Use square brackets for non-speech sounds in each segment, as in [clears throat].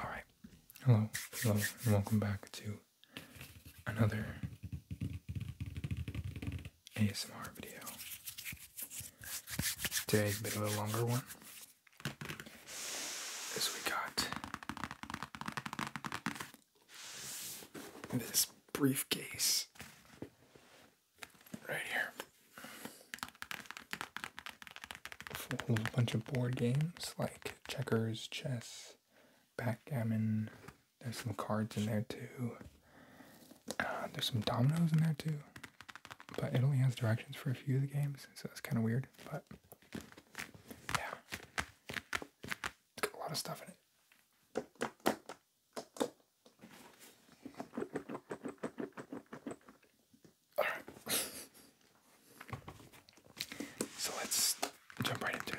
Alright, hello, hello, and welcome back to another ASMR video. Today's a bit of a longer one, as we got this briefcase right here. a bunch of board games like checkers, chess, backgammon. There's some cards in there too. Uh, there's some dominoes in there too. But it only has directions for a few of the games, so that's kind of weird. But yeah, it's got a lot of stuff in it. All right. so let's jump right into it.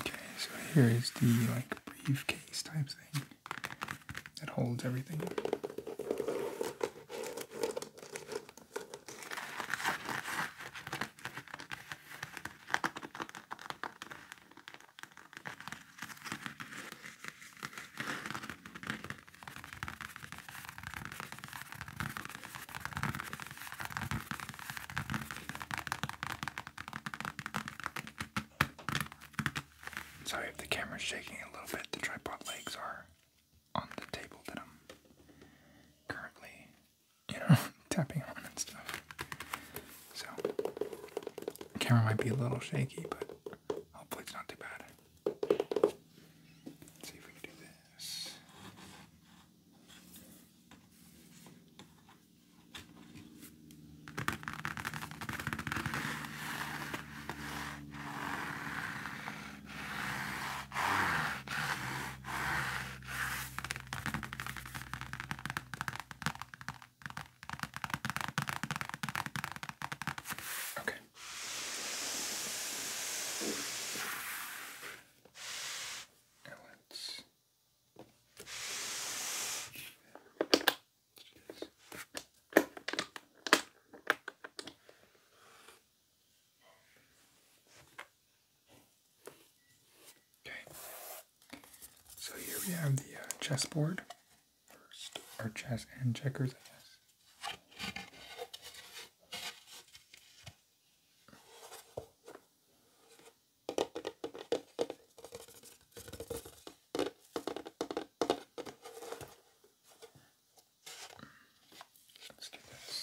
Okay, so here is the like briefcase type thing that holds everything. Sorry if the camera's shaking a little bit, the tripod legs are on the table that I'm currently, you know, [laughs] tapping on and stuff. So, camera might be a little shaky, but Hopefully it's not too bad. see if we can do this. Okay. Now let Okay, so here we have the uh, chessboard first are chess and checkers, I guess. Let's do this.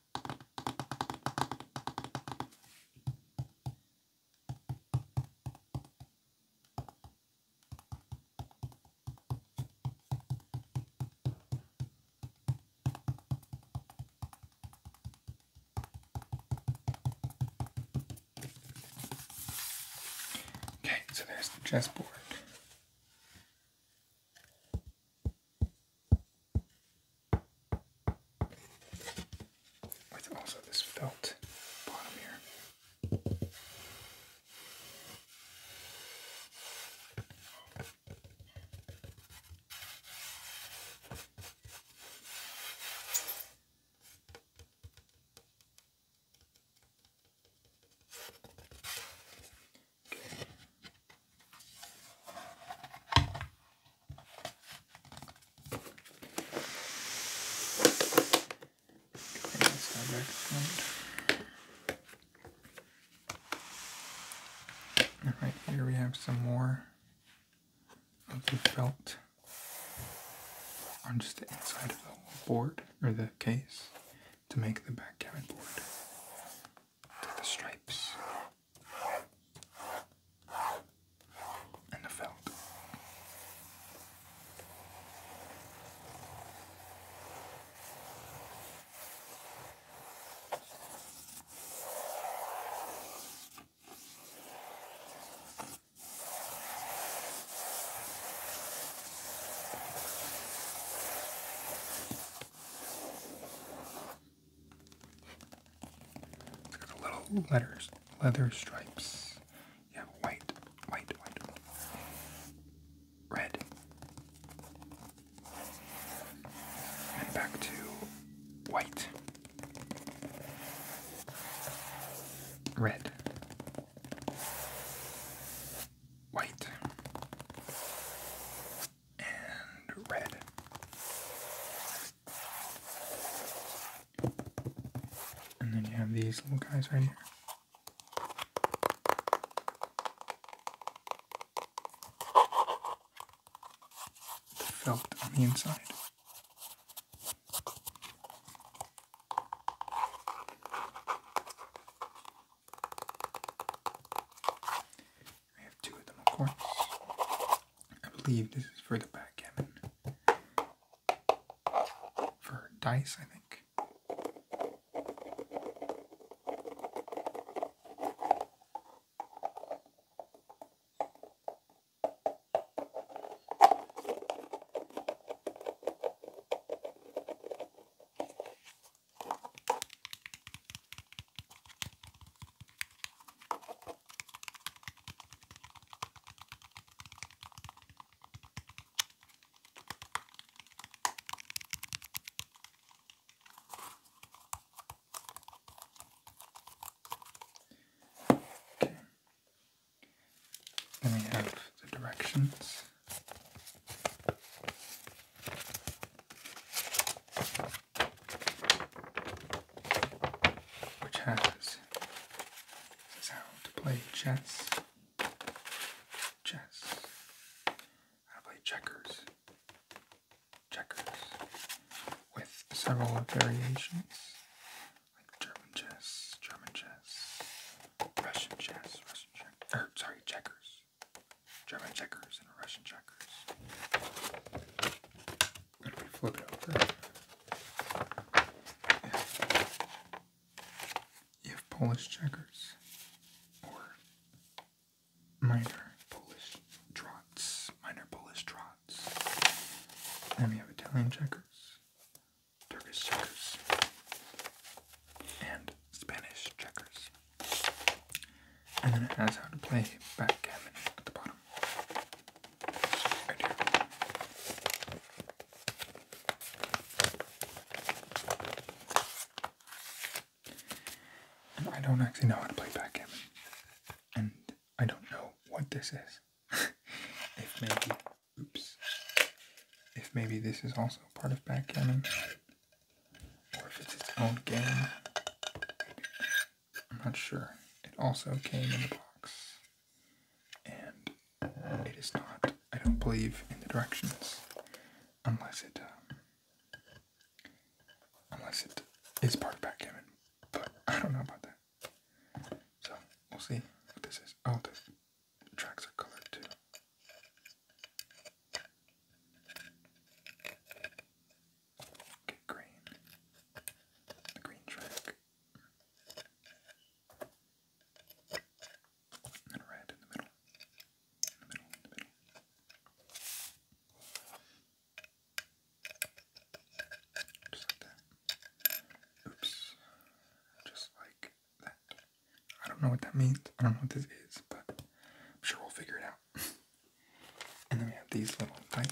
Okay, so there's the chessboard with also this felt bottom here. And here we have some more of the felt on just the inside of the board or the case to make the backgammon board. To the stripes and the felt. Look at the little letters, leather stripes. You have white, white, white, red. And back to white, red, white, and red. And then you have these little guys right here. felt on the inside. I have two of them, of course. I believe this is for the backgammon. For dice, I think. Okay. Then we have the directions which has is how to play chess, chess, how to play checkers, checkers, with several variations like German chess, German chess, Russian chess, Russian chess, or er, sorry, checkers, German checkers checkers and a Russian checkers. And we flip If, Polish checkers or minor Polish trots, minor Polish trots, then we have Italian checkers. Turkish checkers and Spanish checkers and then it has how to play backgammon at the bottom. Right here. I don't actually know how to play backgammon, and I don't know what this is. [laughs] if maybe, oops, if maybe this is also part of backgammon, or if it's its own game. I'm not sure. It also came in the box. And it is not, I don't believe, in the directions. Unless it, um, unless it is part of backgammon. But I don't know about that. So, we'll see what this is. Oh, the tracks are colored too. Get green. The green track. And red in the middle. Just like that. Oops. Just like that. I don't know what that means. I don't know what this is, but I'm sure we'll figure it out. [laughs] And then we have these little dice.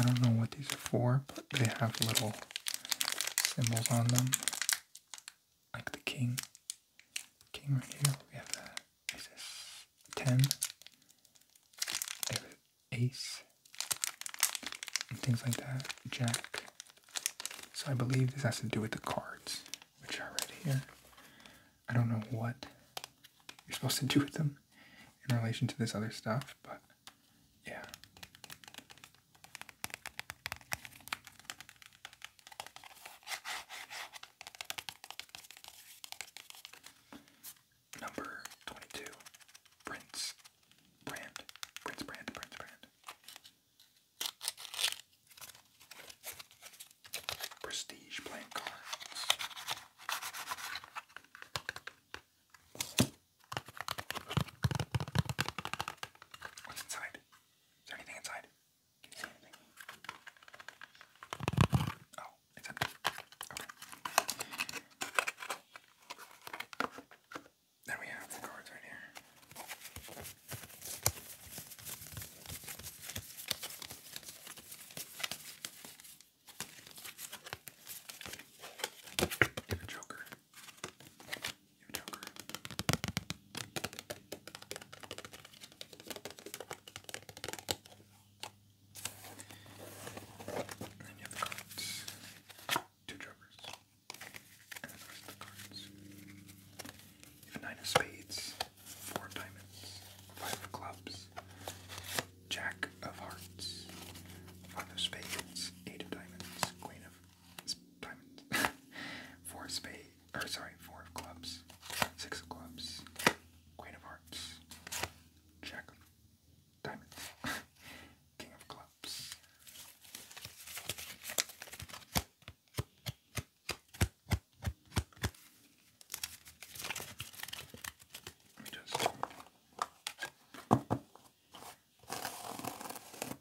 I don't know what these are for, but they have little symbols on them like the king. King right here, we have the is this ten, ace, and things like that. Jack. So I believe this has to do with the cards, which are right here. I don't know what you're supposed to do with them in relation to this other stuff, but yeah. Number 22, Prince Brand. Prince Brand, Prince Brand. Prestige playing cards. What's inside? Is there anything inside? Can you see anything? Oh, it's empty. Okay. Then we have the cards right here. And a joker. You joker. And then you have the cards. Two jokers. And then the rest of the cards. nine of spades, four diamonds, five of clubs, jack of hearts, five of spades, eight of diamonds, queen of diamond, [laughs] four of spade, or sorry, four of clubs, six of clubs, queen of hearts, jack, diamonds, [laughs] king of clubs. Let me just.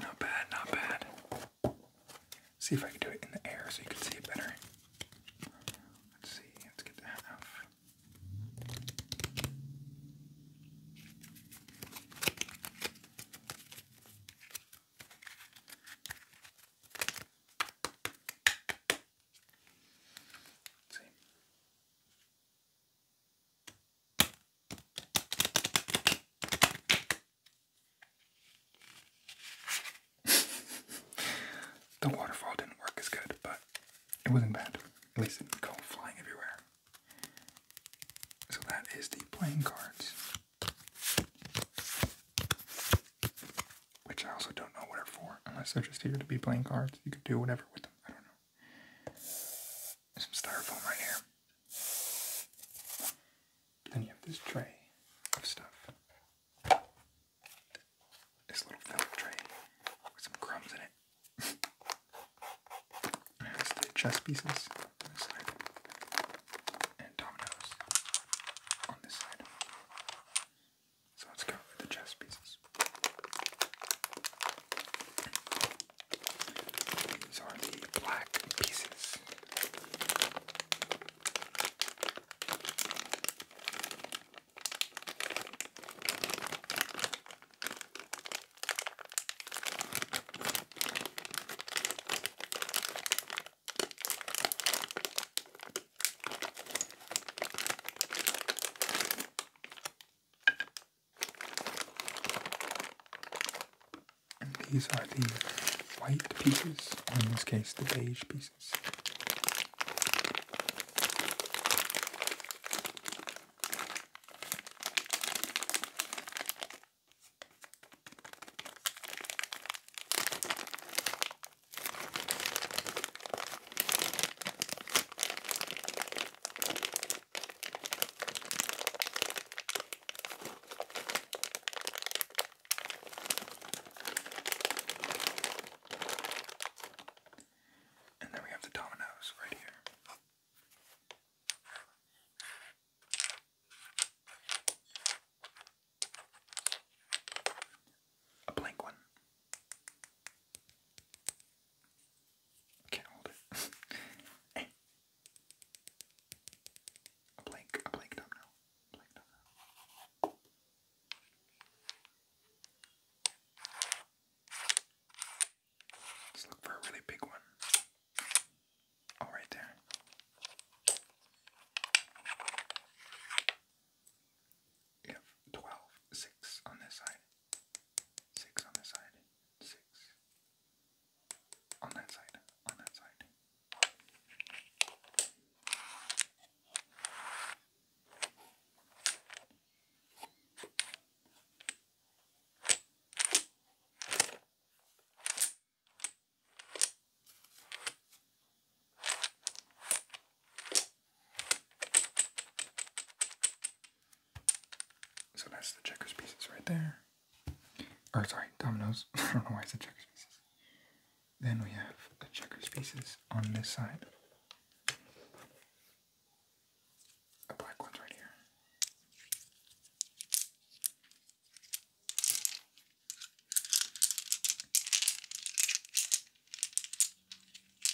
Not bad, not bad. See if I can do it in the air so you can see it better. Let's see, let's get that off the waterfall didn't work as good, but it wasn't bad. At least it didn't go flying everywhere. So that is the playing cards. Which I also don't know what are for, unless they're just here to be playing cards. You can do whatever with them. I don't know some styrofoam right here. Then you have this tray of stuff. This little felt tray with some crumbs in it. [laughs] There's the chess pieces on this side. And dominoes on this side. So let's go with the chess pieces. These are the black pieces. And these are the white pieces, or in this case, the beige pieces. And then we have the dominoes right here. A blank one. Can't hold it. hey. [laughs] I blank, I blanked up now. I blanked up Let's look for a really big one. Oh, right there. You have 12, on this side six on this side, six on that side, on that side. So that's the checkers pieces right there. Or sorry, dominoes. [laughs] I don't know why I said checkers pieces. Then we have the checkers pieces on this side. The black one's right here.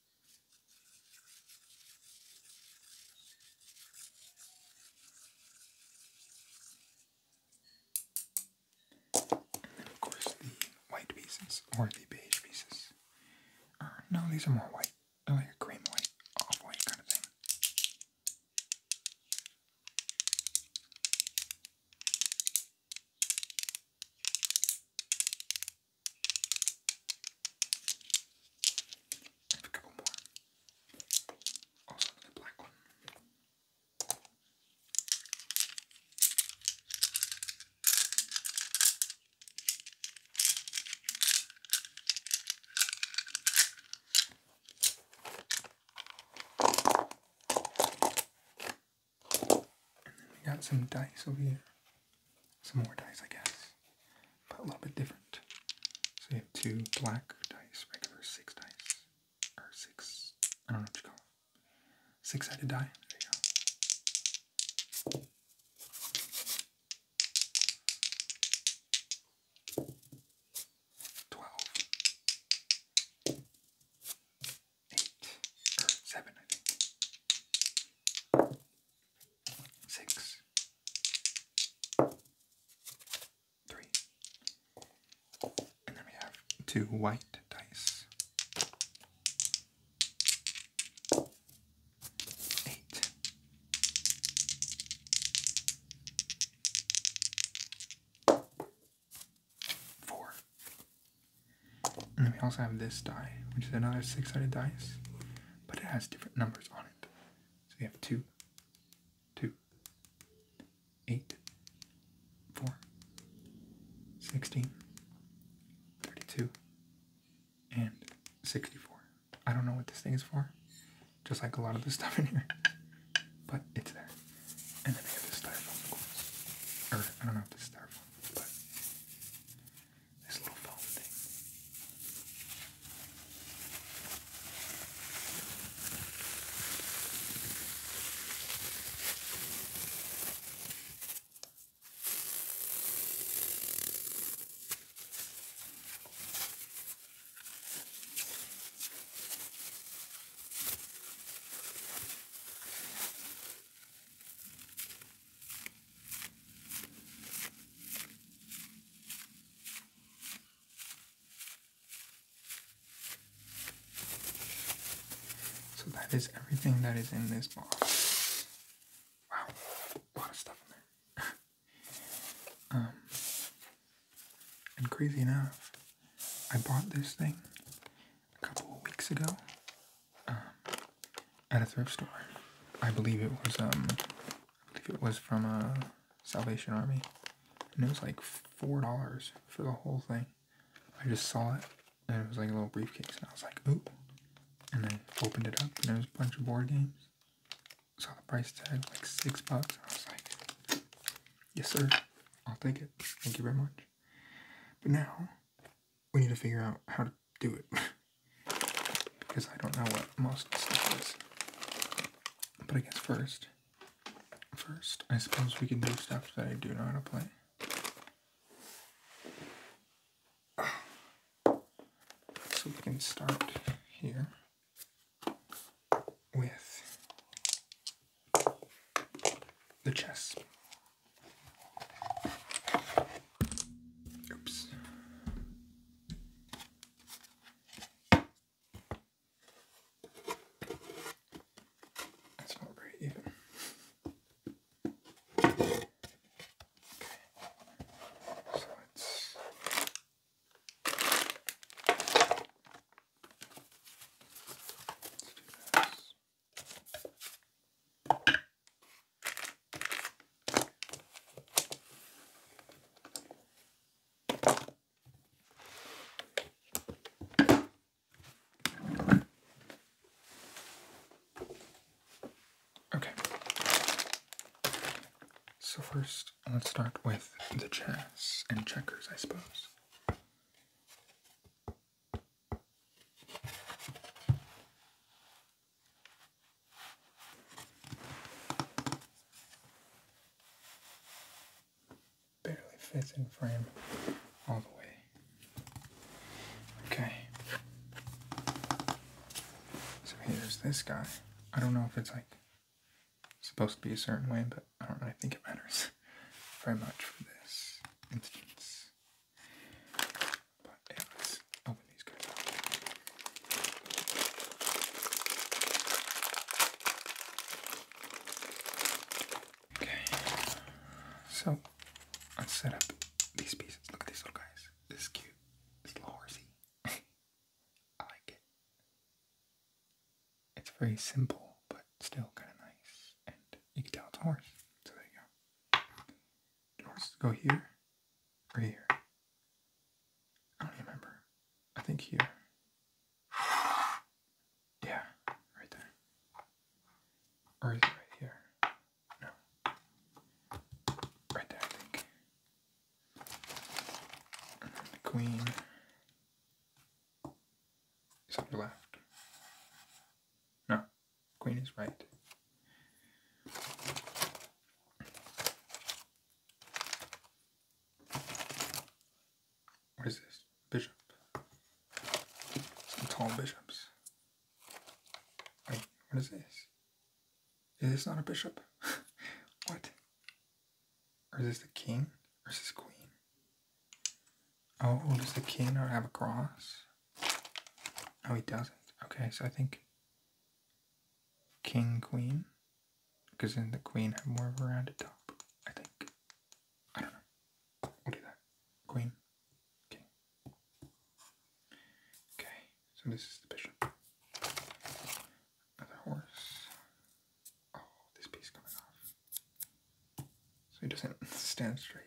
And then of course the white pieces or the beige pieces. Or uh, no, these are more white. Oh, like a cream white, off white kind of thing have a couple more. Also another black one. we got some dice over here some more dice, I guess, but a little bit different. So you have two black dice, regular six dice, or six, I don't know what you call six sided die. There you go. Twelve, eight, seven, six, three. And then we have two white dice, eight, four. And then we also have this die, which is another six sided dice but it has different numbers on it. So we have two, two, eight, four, sixteen, thirty-two, and 64. I don't know what this thing is for, just like a lot of the [laughs] stuff in here, but it's there. And then we have the styrofoam, Or, I don't know if this styrofoam, but this little foam thing. So that is everything that is in this box. Wow, a lot of stuff in there. [laughs] Um, and crazy enough, I bought this thing a couple of weeks ago. Um, at a thrift store. I believe it was um, it was from a uh, Salvation Army, and it was like four dollars for the whole thing. I just saw it, and it was like a little briefcase, and I was like, ooh, and I opened it up, and there was a bunch of board games. Saw the price tag like six bucks. I was like, yes sir, I'll take it. Thank you very much. But now we need to figure out how to do it because [laughs] I don't know what most stuff is. But I guess first, first, I suppose we can do stuff that I do know how to play. [sighs] So we can start here with the chess. Oops. That's not very even. Okay. So it's Let's do this. Okay. So first, let's start with the chess and checkers, I suppose. Barely fits in frame all the way. Okay. So here's this guy. I don't know if it's like supposed to be a certain way, but I don't really think it matters [laughs] very much for this instance. Oh, okay, so let's set up these pieces. Look at these little guys. This cute. This little horsey. [laughs] I like it. It's very simple, but still kind of nice. And you can tell it's a horse. So there you go doors go here or here? I don't remember. I think here. Yeah, right there. Or is right here? No. Right there, I think. queen is on the left. No, queen is right. What is this? Bishop. Some tall bishops. Wait, what is this? Is this not a bishop? [laughs] What? Is this the king? is this queen? Oh, does the king not have a cross? No, oh, he doesn't. Okay, so I think king queen because then the queen had more of a rounded top i think i don't know we'll do that queen king okay so this is the bishop another horse oh this piece coming off so he doesn't [laughs] stand straight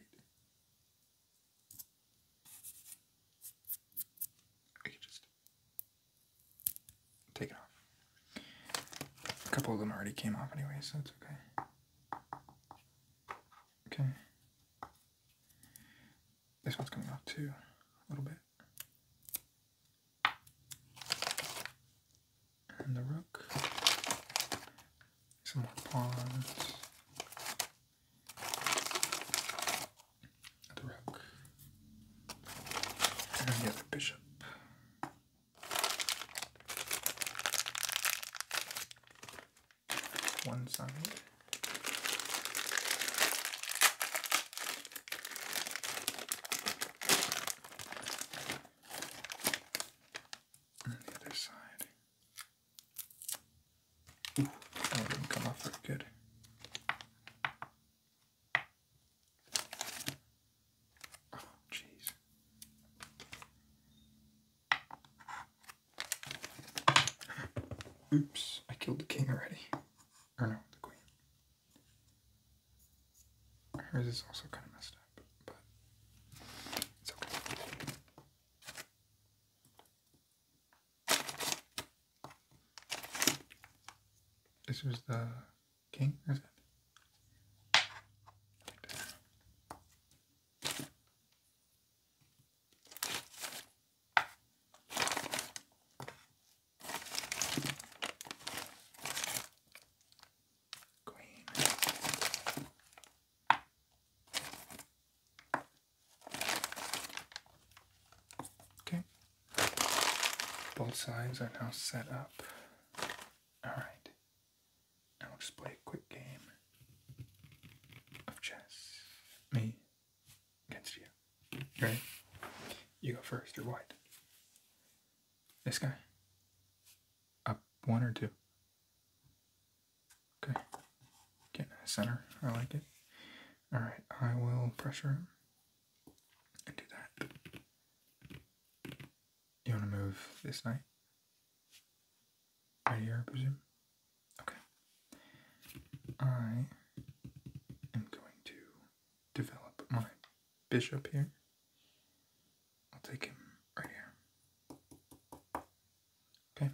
I just Take it off. A couple of them already came off anyway, so it's okay. Okay. This one's coming off too, a little bit. And the rook. Some more pawns the rook, and the other bishop. One side. And the other side. Ooh, that didn't come off very good. Oh, jeez. Oops, I killed the king already. Oh no, the queen. Hers is also kind of messed up, but it's okay. This was the king, Queen. Okay. Both sides are now set up. Alright, now will just play a quick game of chess. Me against you. Ready? You go first, you're white. This guy? Up one or two? Okay. Getting center, I like it. Alright, I will pressure him and do that. You want to move this knight? Right here, I presume? Okay. I am going to develop my bishop here. I'll take him right here. Okay.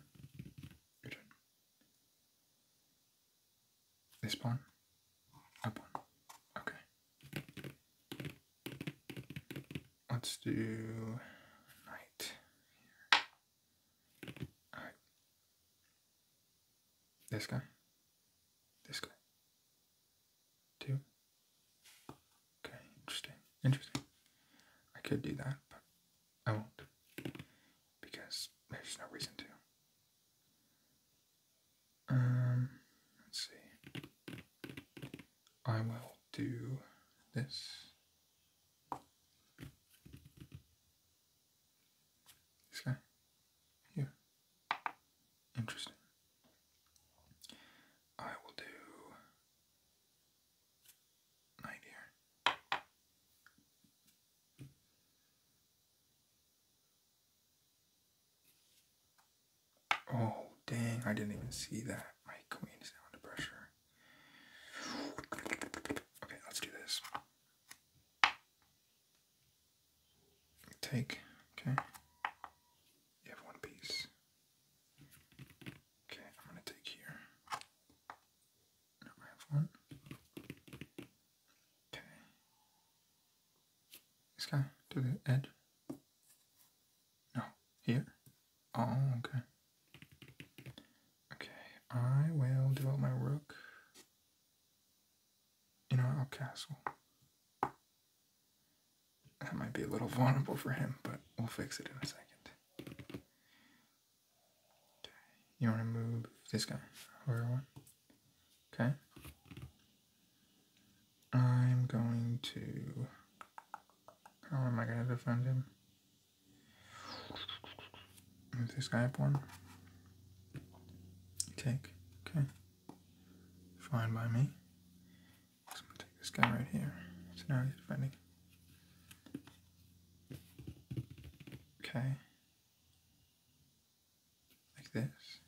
Your turn. This pawn? one. Okay. Let's do knight Alright. This guy? This guy. Two. Okay, interesting. Interesting. I could do that, but I won't. Because there's no reason to. Um, let's see. I will do this. This guy here. Interesting. I will do night here. Oh, dang, I didn't even see that. My queen is now under pressure. Okay, let's do this. Take, okay. You have one piece. Okay, I'm gonna take here. Now I have one. Okay. This guy to the edge. No, here. Oh, okay. Okay, I will develop my rook in our castle. That might be a little vulnerable for him, but we'll fix it in a second. Okay. You want to move this guy over one? Okay. I'm going to. How am I going to defend him? Is this guy up one? Take. Okay. Fine by me. I'm going to take this guy right here. So now he's defending. Okay. Like this.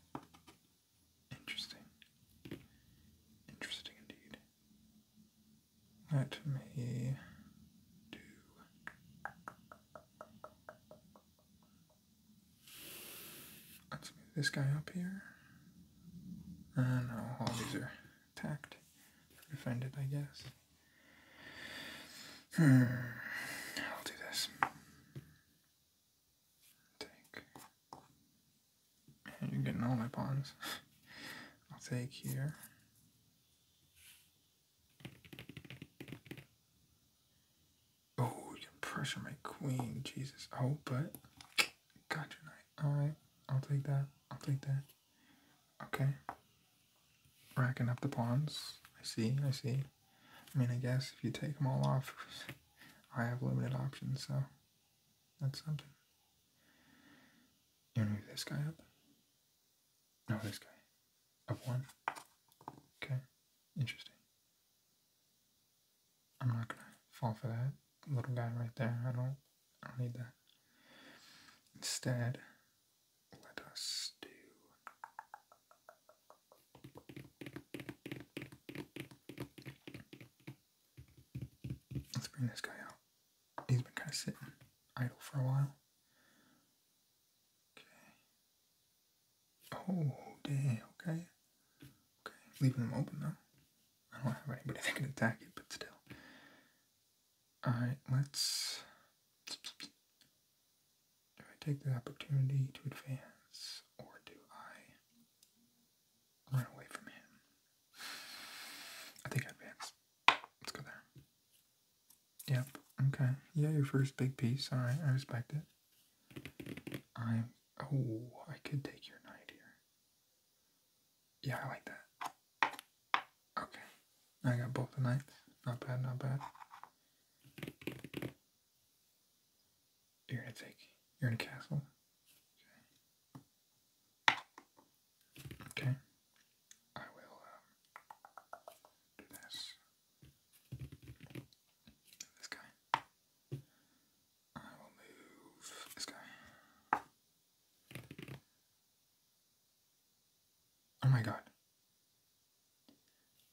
Interesting. Interesting indeed. Let me do. Let's move this guy up here. Uh, no, all these are tacked. Find it, I guess. Hmm. I'll do this. Take. [laughs] You're getting all my pawns. [laughs] I'll take here. Oh, you are pressure my queen. Jesus. Oh, but. Got your knight. Alright. I'll take that. I'll take that. Okay. Racking up the pawns. I see. I see. I mean, I guess if you take them all off, I have limited options, so that's something. You want to move this guy up? No, this guy. Up one. Okay, interesting. I'm not gonna fall for that little guy right there. I don't, I don't need that. Instead, let us do Let's bring this guy out. He's been kind of sitting idle for a while. Okay. Oh, damn. Okay. Okay. Leaving them open though. I don't have anybody [laughs] that can attack it, but still. Alright, let's. Do I take the opportunity to advance or do I run away from him? I think I advance. Let's go there. Yep. Okay. Yeah, your first big piece. All right. I respect it. I'm. Oh, I could take your knight here. Yeah, I like that. Okay. I got both the knights. Not bad, not bad. You're in a fake. You're in a castle. Okay. Okay. I will um, do this. This guy. I will move this guy. Oh my god.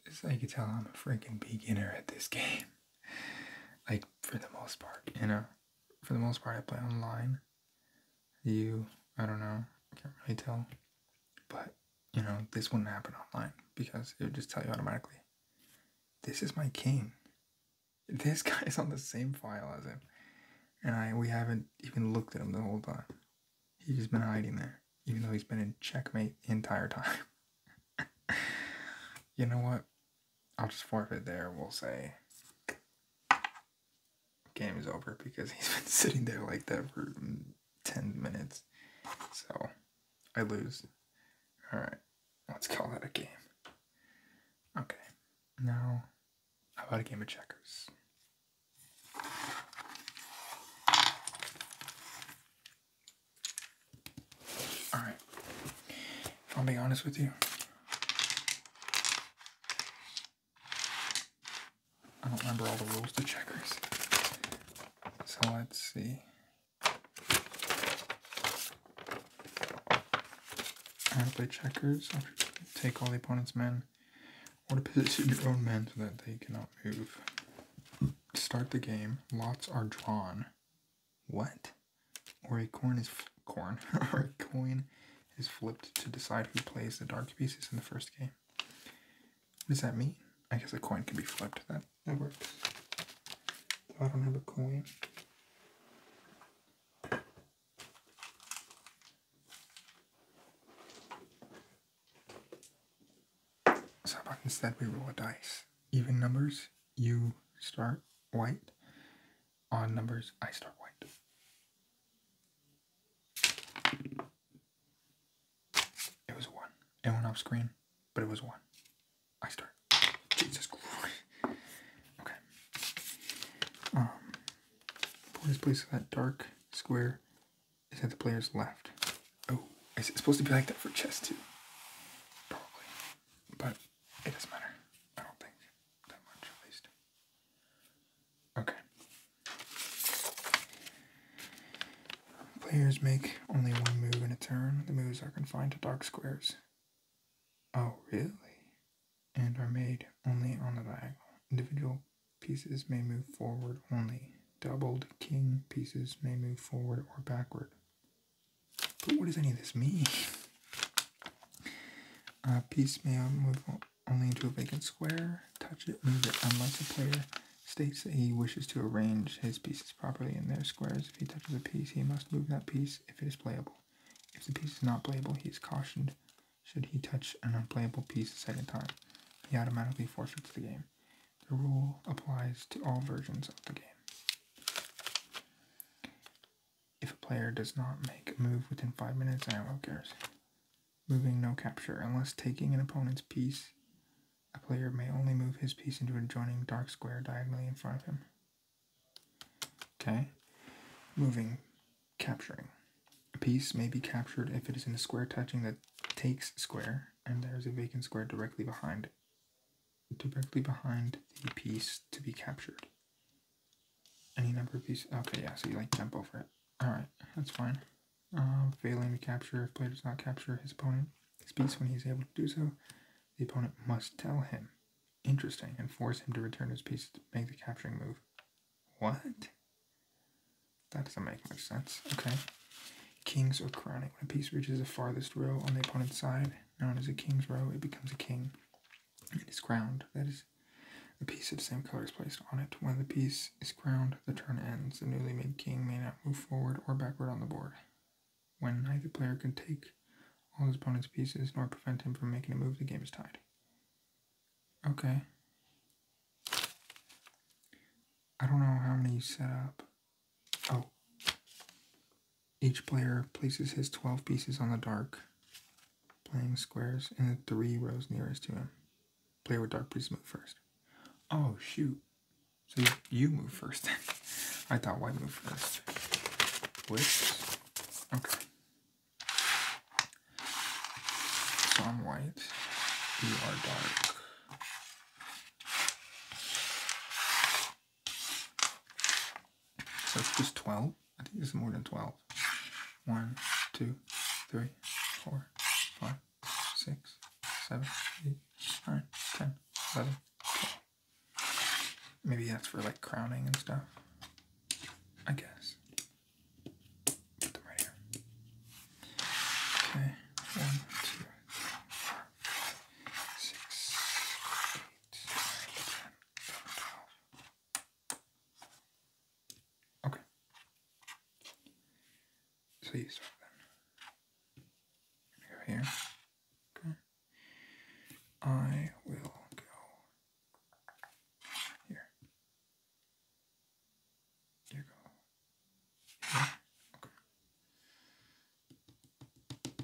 Just so you can tell, I'm a freaking beginner at this game. [laughs] like, for the most part, you know? For the most part, I play online. You, I don't know, I can't really tell. But, you know, this wouldn't happen online because it would just tell you automatically this is my king. [laughs] This guy is on the same file as him. And I we haven't even looked at him the whole time. He's just been hiding there even though he's been in checkmate the entire time. [laughs] you know what? I'll just forfeit there. We'll say game is over because he's [laughs] been sitting there like that for 10 minutes. So I lose. Alright, let's call that a game. Okay, now how about a game of checkers? Alright. If i am being honest with you, I don't remember all the rules to checkers. So let's see. I want to play checkers. Take all the opponent's men or to position your own men so that they cannot move start the game, lots are drawn. What? Or a corn is [laughs] corn or a coin is flipped to decide who plays the dark pieces in the first game. What does that mean? I guess a coin can be flipped. That that works. I don't have a coin. So instead we roll a dice? Even numbers, you start white. Odd numbers, I start white. It was one. It went off screen, but it was one. I start. Jesus Christ. Okay. Um, Porter's place that dark square is at the player's left. Oh, is it supposed to be like that for chess too? Probably. But it doesn't matter. I don't think that much at least. Okay. Players make only one move in a turn. The moves are confined to dark squares. Oh, really? And are made only on the diagonal. Individual pieces may move forward only. Doubled king pieces may move forward or backward what does any of this mean? A piece may move only into a vacant square. Touch it, move it, unless a player states that he wishes to arrange his pieces properly in their squares. If he touches a piece, he must move that piece if it is playable. If the piece is not playable, he is cautioned should he touch an unplayable piece a second time. He automatically forfeits the game. The rule applies to all versions of the game. If a player does not make a move within 5 minutes, ILO cares. Moving no capture. Unless taking an opponent's piece, a player may only move his piece into an adjoining dark square diagonally in front of him. Okay. Moving. Capturing. A piece may be captured if it is in a square touching that takes square, and there is a vacant square directly behind it directly behind the piece to be captured. Any number of pieces. Okay, yeah, so you like jump over it. Alright, that's fine. Uh, failing to capture, if player does not capture his opponent, his piece when he's able to do so, the opponent must tell him. Interesting, and force him to return his piece to make the capturing move. What? That doesn't make much sense. Okay. Kings are crowning. When a piece reaches the farthest row on the opponent's side, known as a king's row, it becomes a king. It is crowned. That is, a piece of same color is placed on it. When the piece is crowned, the turn ends. The newly made king may not move forward or backward on the board. When neither player can take all his opponent's pieces nor prevent him from making a move, the game is tied. Okay. I don't know how many you set up. Oh. Each player places his 12 pieces on the dark, playing squares in the three rows nearest to him. Player with dark pieces move first. Oh, shoot. So you move first [laughs] I thought white move first. Whoops. Okay. So I'm white. You are dark. So it's just 12? I think it's more than 12. 1, 2, 3, 4, 5, 6, 7, 8, 9, 10, Maybe that's for like crowning and stuff. I guess. Put them right here. Okay. 1, six, eight, nine, ten, eleven, twelve. Okay. So you start then. Go here. Okay. I will go here. You go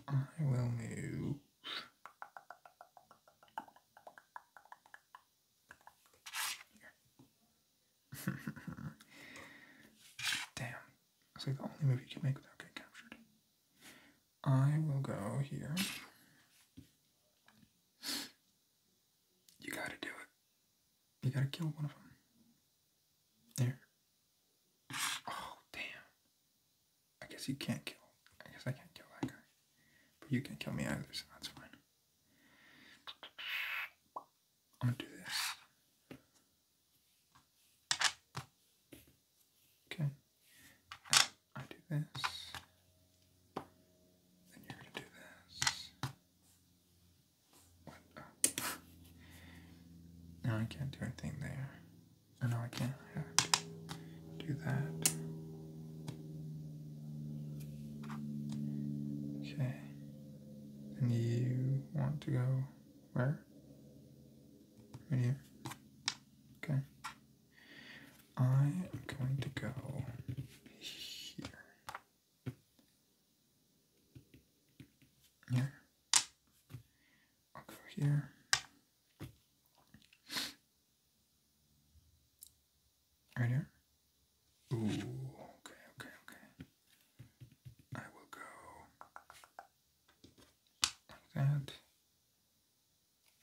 I will move. [laughs] Damn. It's like the only move you can make without getting captured. I will go here. You gotta do it. You gotta kill one of them. There. Oh, damn. I guess you can't kill. I guess I can't kill that guy. But you can't kill me either, so that's fine. I'm gonna do this. Okay. I do this. Then you're gonna do this. What? Uh, [laughs] I can't do anything there. I know I can't Do that. Okay. And you want to go where? Right here. Okay. I am going to go here. Here. I'll go here. Right here? Ooh, okay, okay, okay. I will go like that.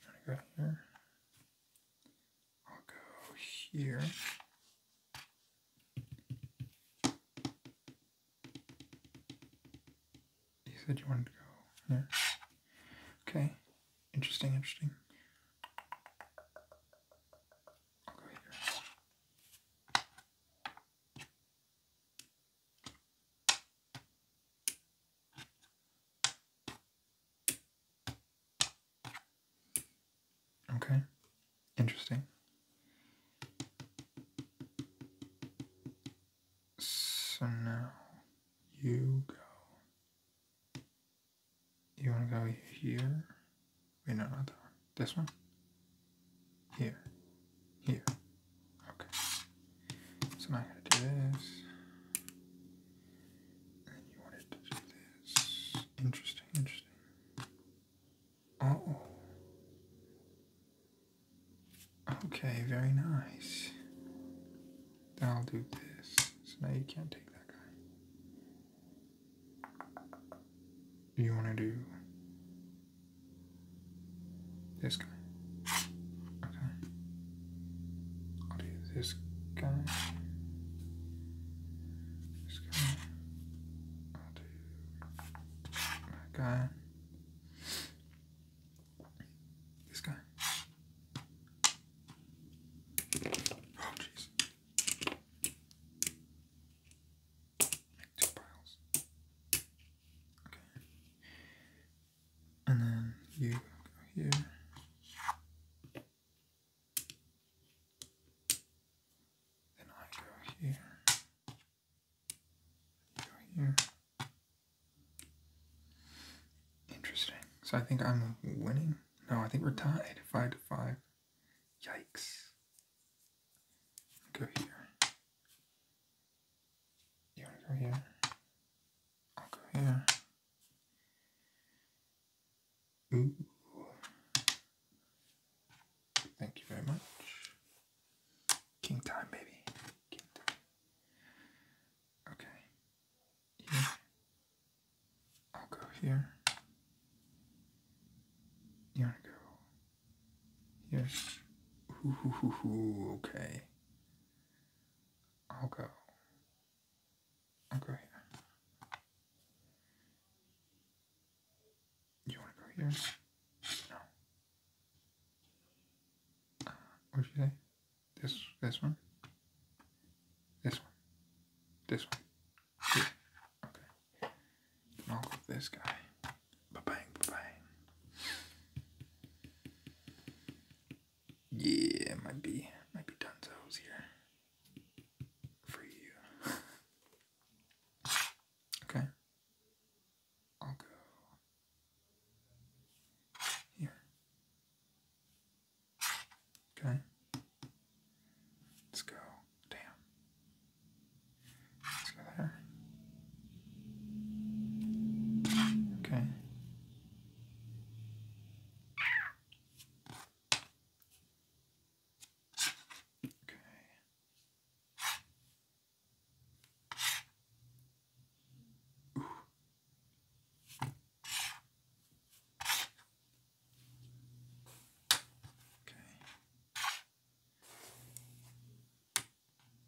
i go here. I'll go here. You said you wanted to go there. Okay. Interesting, interesting. Okay. Interesting. So now you go. You want to go here? We no, not that This one? Here. Here. Okay. So now I gotta do this. And you want to do this. Interesting, interesting. Uh oh. Okay, very nice. Then I'll do this. So now you can't take that guy. You want to do this guy. Okay. I'll do this guy. This guy. I'll do that guy. This guy. Oh, jeez. Make two piles. Okay. And then you go here. Then I go here right here. Interesting. So I think I'm winning. No, I think we're tied. Five to five. Yikes. Go here. You wanna go here? I'll go here. Ooh. Thank you very much. King time, baby. Okay. I'll go here. You wanna go here? okay. I'll go. i You wanna go here? No. What'd you say? This this one? This one. This one. This. Okay. Then I'll this guy. Ba bang, bang. Yeah, might be might be Dunzo's here. For you. [laughs] okay. I'll go here. Okay. Let's go. Damn. Let's go there. Okay. Okay. Okay.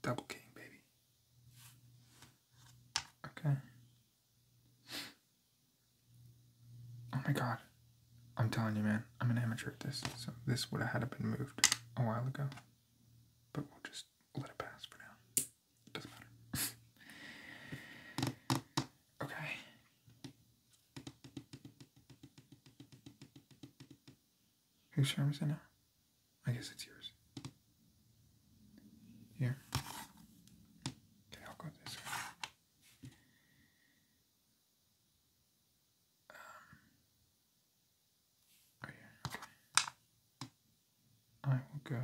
Double king, baby. Okay. Oh my god. I'm telling you, man, I'm an amateur at this, so this would have had to been moved a while ago. But we'll just just let it pass for now. doesn't matter. [laughs] okay. Whose charm is it now? I guess it's yours. Here. Okay, I'll go this way. I will go.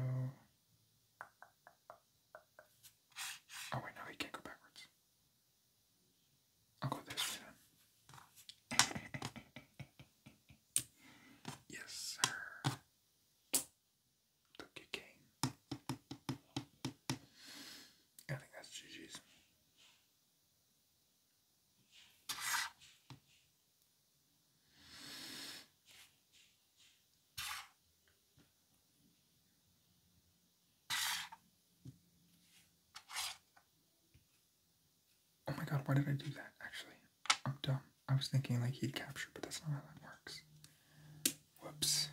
Oh wait, no, he can't go backwards. I'll go this way [laughs] yes, sir. Took your game. I think that's GG's. Oh my god, why did I do that actually? I'm dumb. I was thinking like he'd capture, but that's not how that works. Whoops.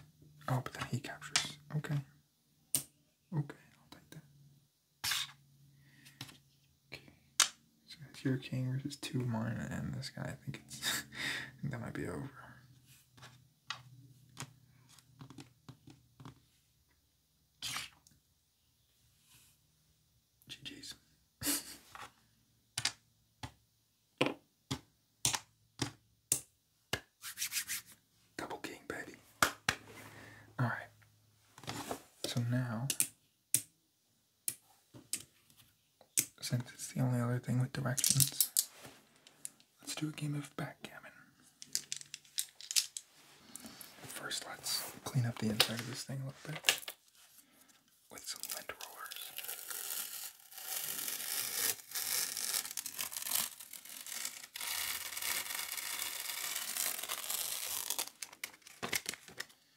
Oh, but then he captures. Okay. Okay, I'll take that. Okay. So your king versus two of mine and this guy. I think it's [laughs] that might be over. GG's. [laughs] Double king, baby. Alright. So now since it's the only other thing with directions, let's do a game of backgammon. first, let's clean up the inside of this thing a little bit with some lint rollers.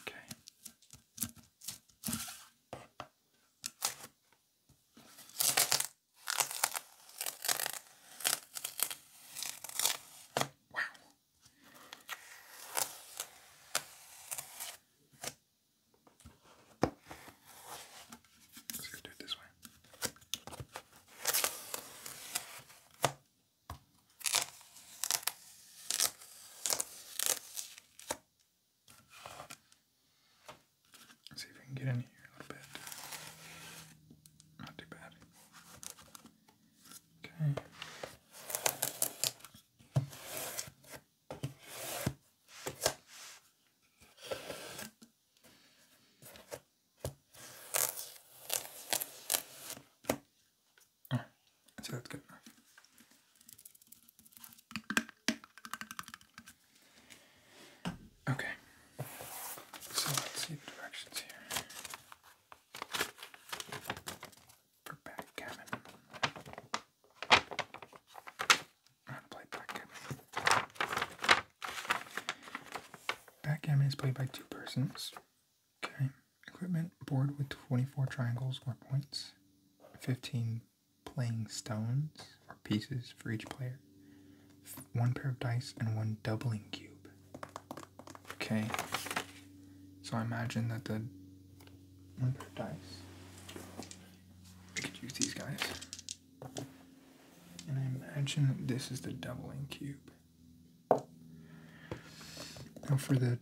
Okay. Wow. Let's go do it this way see if we can get in here a little bit. Not too bad. Okay. Oh, I that's good Okay. So let's see the directions here. For backgammon. How play backgammon. Backgammon is played by two persons. Okay, equipment board with 24 triangles or points, 15 playing stones or pieces for each player, one pair of dice, and one doubling cube. Okay, so I imagine that the one of dice, I could use these guys, and I imagine that this is the doubling cube. Now for the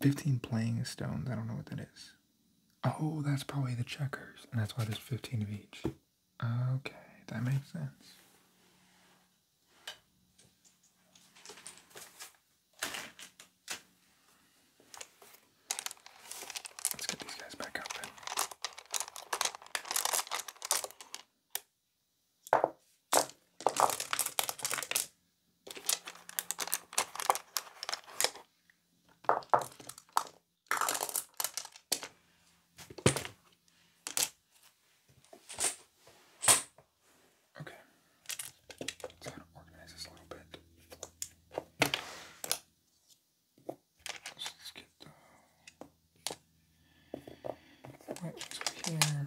15 playing stones. I don't know what that is. Oh, that's probably the checkers. And that's why there's 15 of each. Okay, that makes sense. Let's get these guys back out Okay, let's kind of organize this a little bit. let's get the white ones here.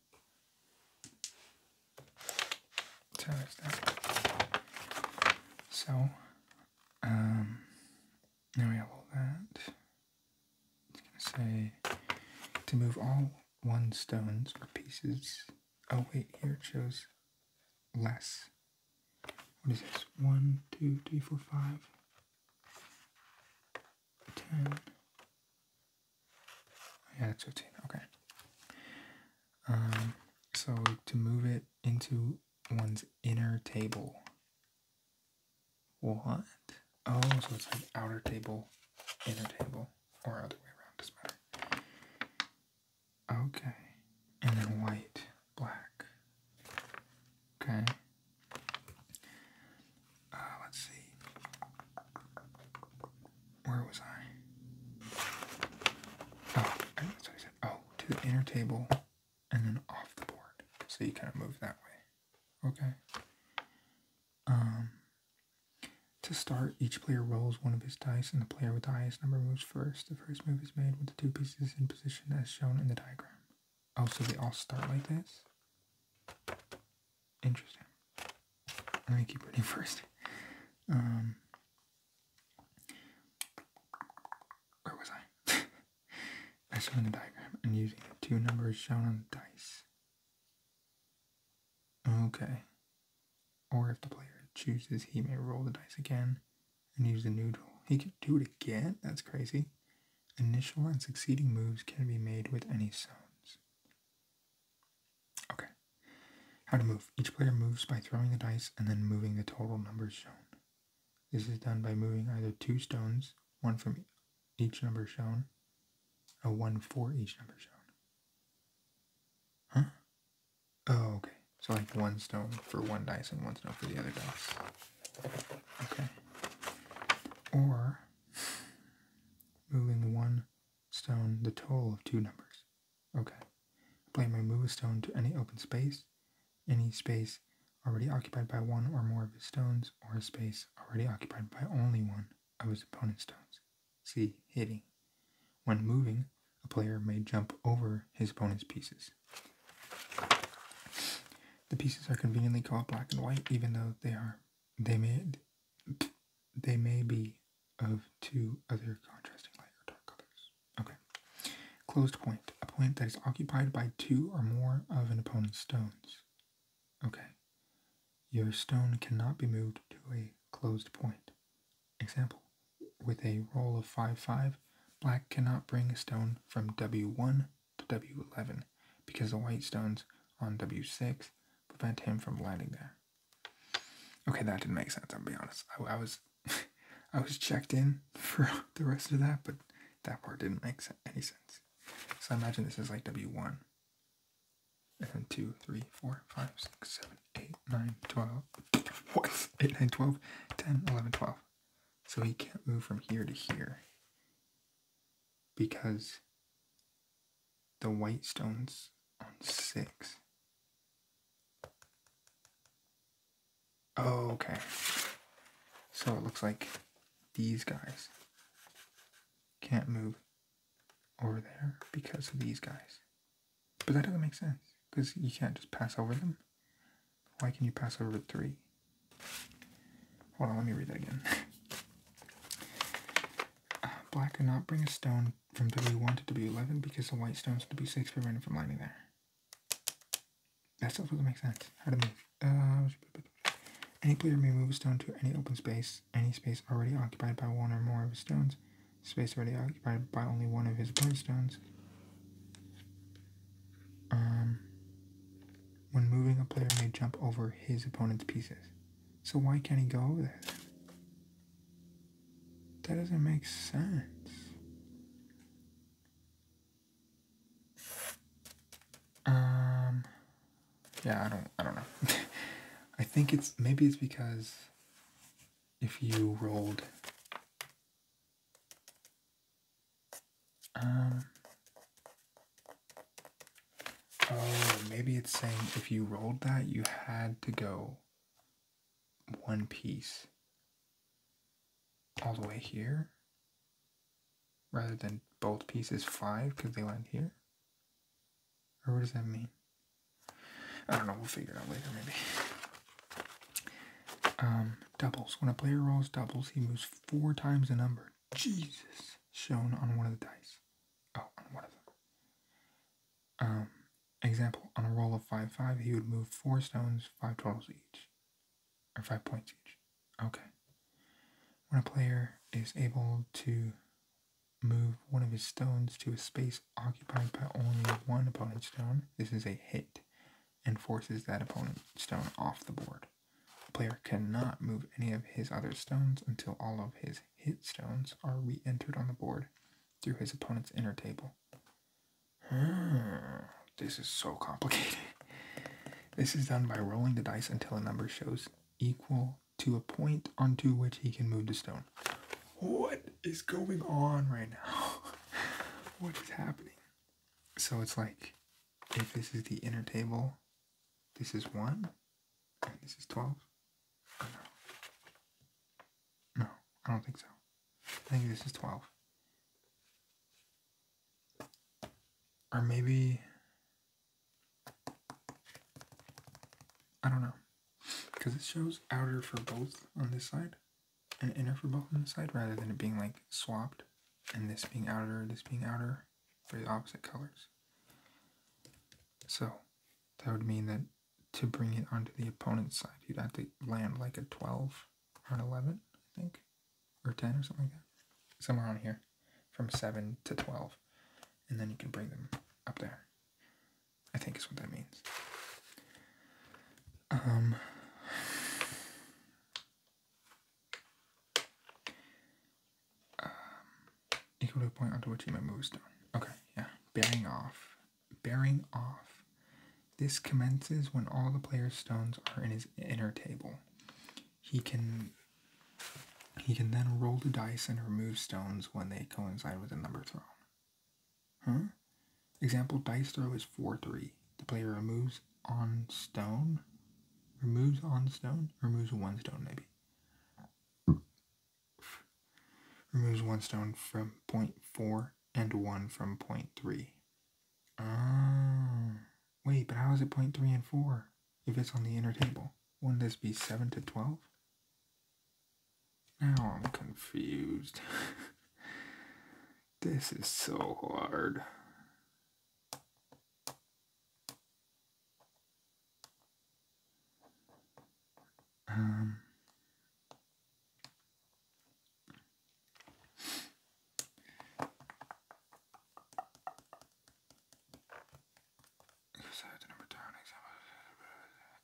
So there's that. So, um, now we have all that. It's gonna say to move all one stones or pieces. Oh wait, here it shows less. What is this? One, two, three, four, five. 10. Yeah, that's 15. Okay. Um, so to move it into one's inner table. What? Oh, so it's like outer table, inner table, or other way around, doesn't matter. Okay. And then white, black. Okay. Uh, let's see. Where was I? Oh, I think said. Oh, to the inner table and then off the board. So you kind of move that way. Okay. Um, to start, each player rolls one of his dice, and the player with the highest number moves first. The first move is made with the two pieces in position as shown in the diagram. Oh, so they all start like this? Interesting. Let me keep reading first. Um, where was I? [laughs] I in the diagram and using the two numbers shown on the dice. Okay. Or if the player chooses, he may roll the dice again and use the new tool. He could do it again? That's crazy. Initial and succeeding moves can be made with any stones. Okay. How to move. Each player moves by throwing the dice and then moving the total numbers shown. This is done by moving either two stones, one from each number shown, or one for each number shown. Huh? Oh, okay. So like one stone for one dice and one stone for the other dice. Okay. Or moving one stone the total of two numbers. Okay. Apply my move a stone to any open space, any space already occupied by one or more of his stones, or a space already occupied by only one of his opponent's stones. See hitting. When moving, a player may jump over his opponent's pieces. The pieces are conveniently called black and white, even though they are they made. They may be of two other contrasting light or dark colors. Okay. Closed point. A point that is occupied by two or more of an opponent's stones. Okay. Your stone cannot be moved to a closed point. Example. With a roll of 5-5, black cannot bring a stone from W1 to W11 because the white stones on W6 prevent him from landing there. Okay, that didn't make sense. I'll be honest. I, was, [laughs] I was checked in for [laughs] the rest of that, but that part didn't make any sense. So I imagine this is like W one, and then two, three, four, five, six, seven, eight, nine, twelve. [laughs] What? Eight, nine, twelve, ten, eleven, twelve. So he can't move from here to here because the white stones on six. Oh, okay. So it looks like these guys can't move over there because of these guys. But that doesn't make sense because you can't just pass over them. Why can you pass over three? Hold on, let me read that again. [laughs] uh, black cannot bring a stone from W1 to W11 because the white stones to B6 prevented from landing there. That stuff doesn't make sense. How to move. Uh, any player may move a stone to any open space, any space already occupied by one or more of his stones, space already occupied by only one of his opponent's stones. Um, when moving, a player may jump over his opponent's pieces. So why can't he go over there? That doesn't make sense. Um yeah, I don't I don't know. [laughs] I think it's maybe it's because if you rolled um Oh, maybe it's saying if you rolled that, you had to go one piece all the way here rather than both pieces five because they went here. Or what does that mean? I don't know. We'll figure it out later, maybe. Um, doubles. When a player rolls doubles, he moves four times the number. Jesus, shown on one of the dice. Oh, on one of them. Um, example, on a roll of 5 5, he would move 4 stones, 5 totals each, or 5 points each. Okay. When a player is able to move one of his stones to a space occupied by only one opponent's stone, this is a hit and forces that opponent's stone off the board. A player cannot move any of his other stones until all of his hit stones are re entered on the board through his opponent's inner table. Hmm, this is so complicated. This is done by rolling the dice until a number shows equal to a point onto which he can move the stone. What is going on right now? [laughs] what is happening? So it's like if this is the inner table, this is one, this is 12? Oh, no. No, I don't think so. I think this is 12. Or maybe... I don't know. Because it shows outer for both on this side and inner for both on this side rather than it being like swapped and this being outer, this being outer for the opposite colors. So that would mean that to bring it onto the opponent's side, you'd have to land like a 12 or an 11, I think, or 10 or something like that. Somewhere on here, from 7 to 12. And then you can bring them up there. I think is what that means. Um, [sighs] um, equal to a point onto which he may move stone. Okay, yeah. Bearing off. Bearing off. This commences when all the player's stones are in his inner table. He can he can then roll the dice and remove stones when they coincide with a number thrown. Huh? Example dice throw is 4 3. The player removes on stone. Removes on stone? Removes one stone, maybe removes one stone from point four and one from point three. Oh, wait, but how is it point three and four if it's on the inner table? Wouldn't this be seven to twelve? Now I'm confused. [laughs] this is so hard. Um,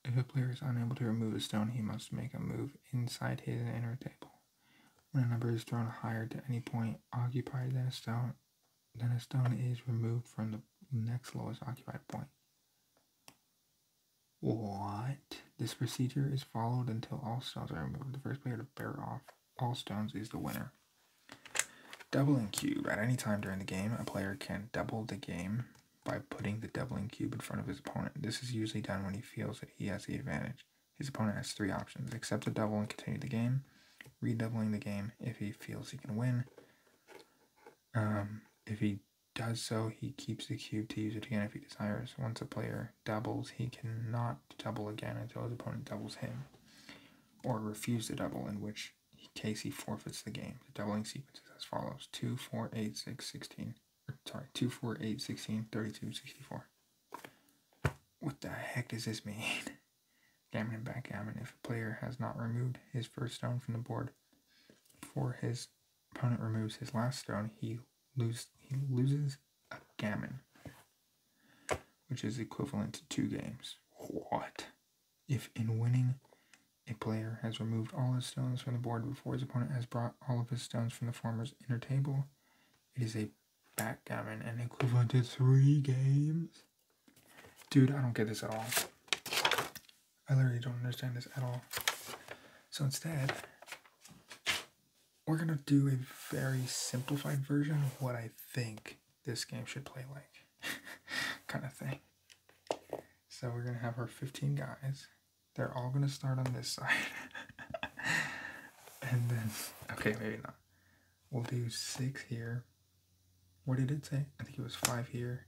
if a player is unable to remove a stone, he must make a move inside his inner table. When a number is thrown higher to any point occupied than a stone, then a stone is removed from the next lowest occupied point. What? This procedure is followed until all stones are removed. The first player to bear off all stones is the winner. Doubling cube. At any time during the game, a player can double the game by putting the doubling cube in front of his opponent. This is usually done when he feels that he has the advantage. His opponent has three options accept the double and continue the game, redoubling the game if he feels he can win. Um, if he does so, he keeps the cube to use it again if he desires. Once a player doubles, he cannot double again until his opponent doubles him, or refuses to double, in which case he forfeits the game. The doubling sequence is as follows 2, 4, 8, 6, 16. Sorry, 2, 4, 8, 16, 32, 64. What the heck does this mean? [laughs] Gammon and backgammon. If a player has not removed his first stone from the board for his opponent removes his last stone, he lose he loses a gammon, which is equivalent to two games. What? If in winning, a player has removed all his stones from the board before his opponent has brought all of his stones from the former's inner table, it is a backgammon and equivalent to three games. Dude, I don't get this at all. I literally don't understand this at all. So instead, we're gonna do a very simplified version of what I think this game should play like, [laughs] kind of thing. So we're gonna have our 15 guys. They're all gonna start on this [laughs] side. and then, okay, maybe not. We'll do six here. What did it say? I think it was five here,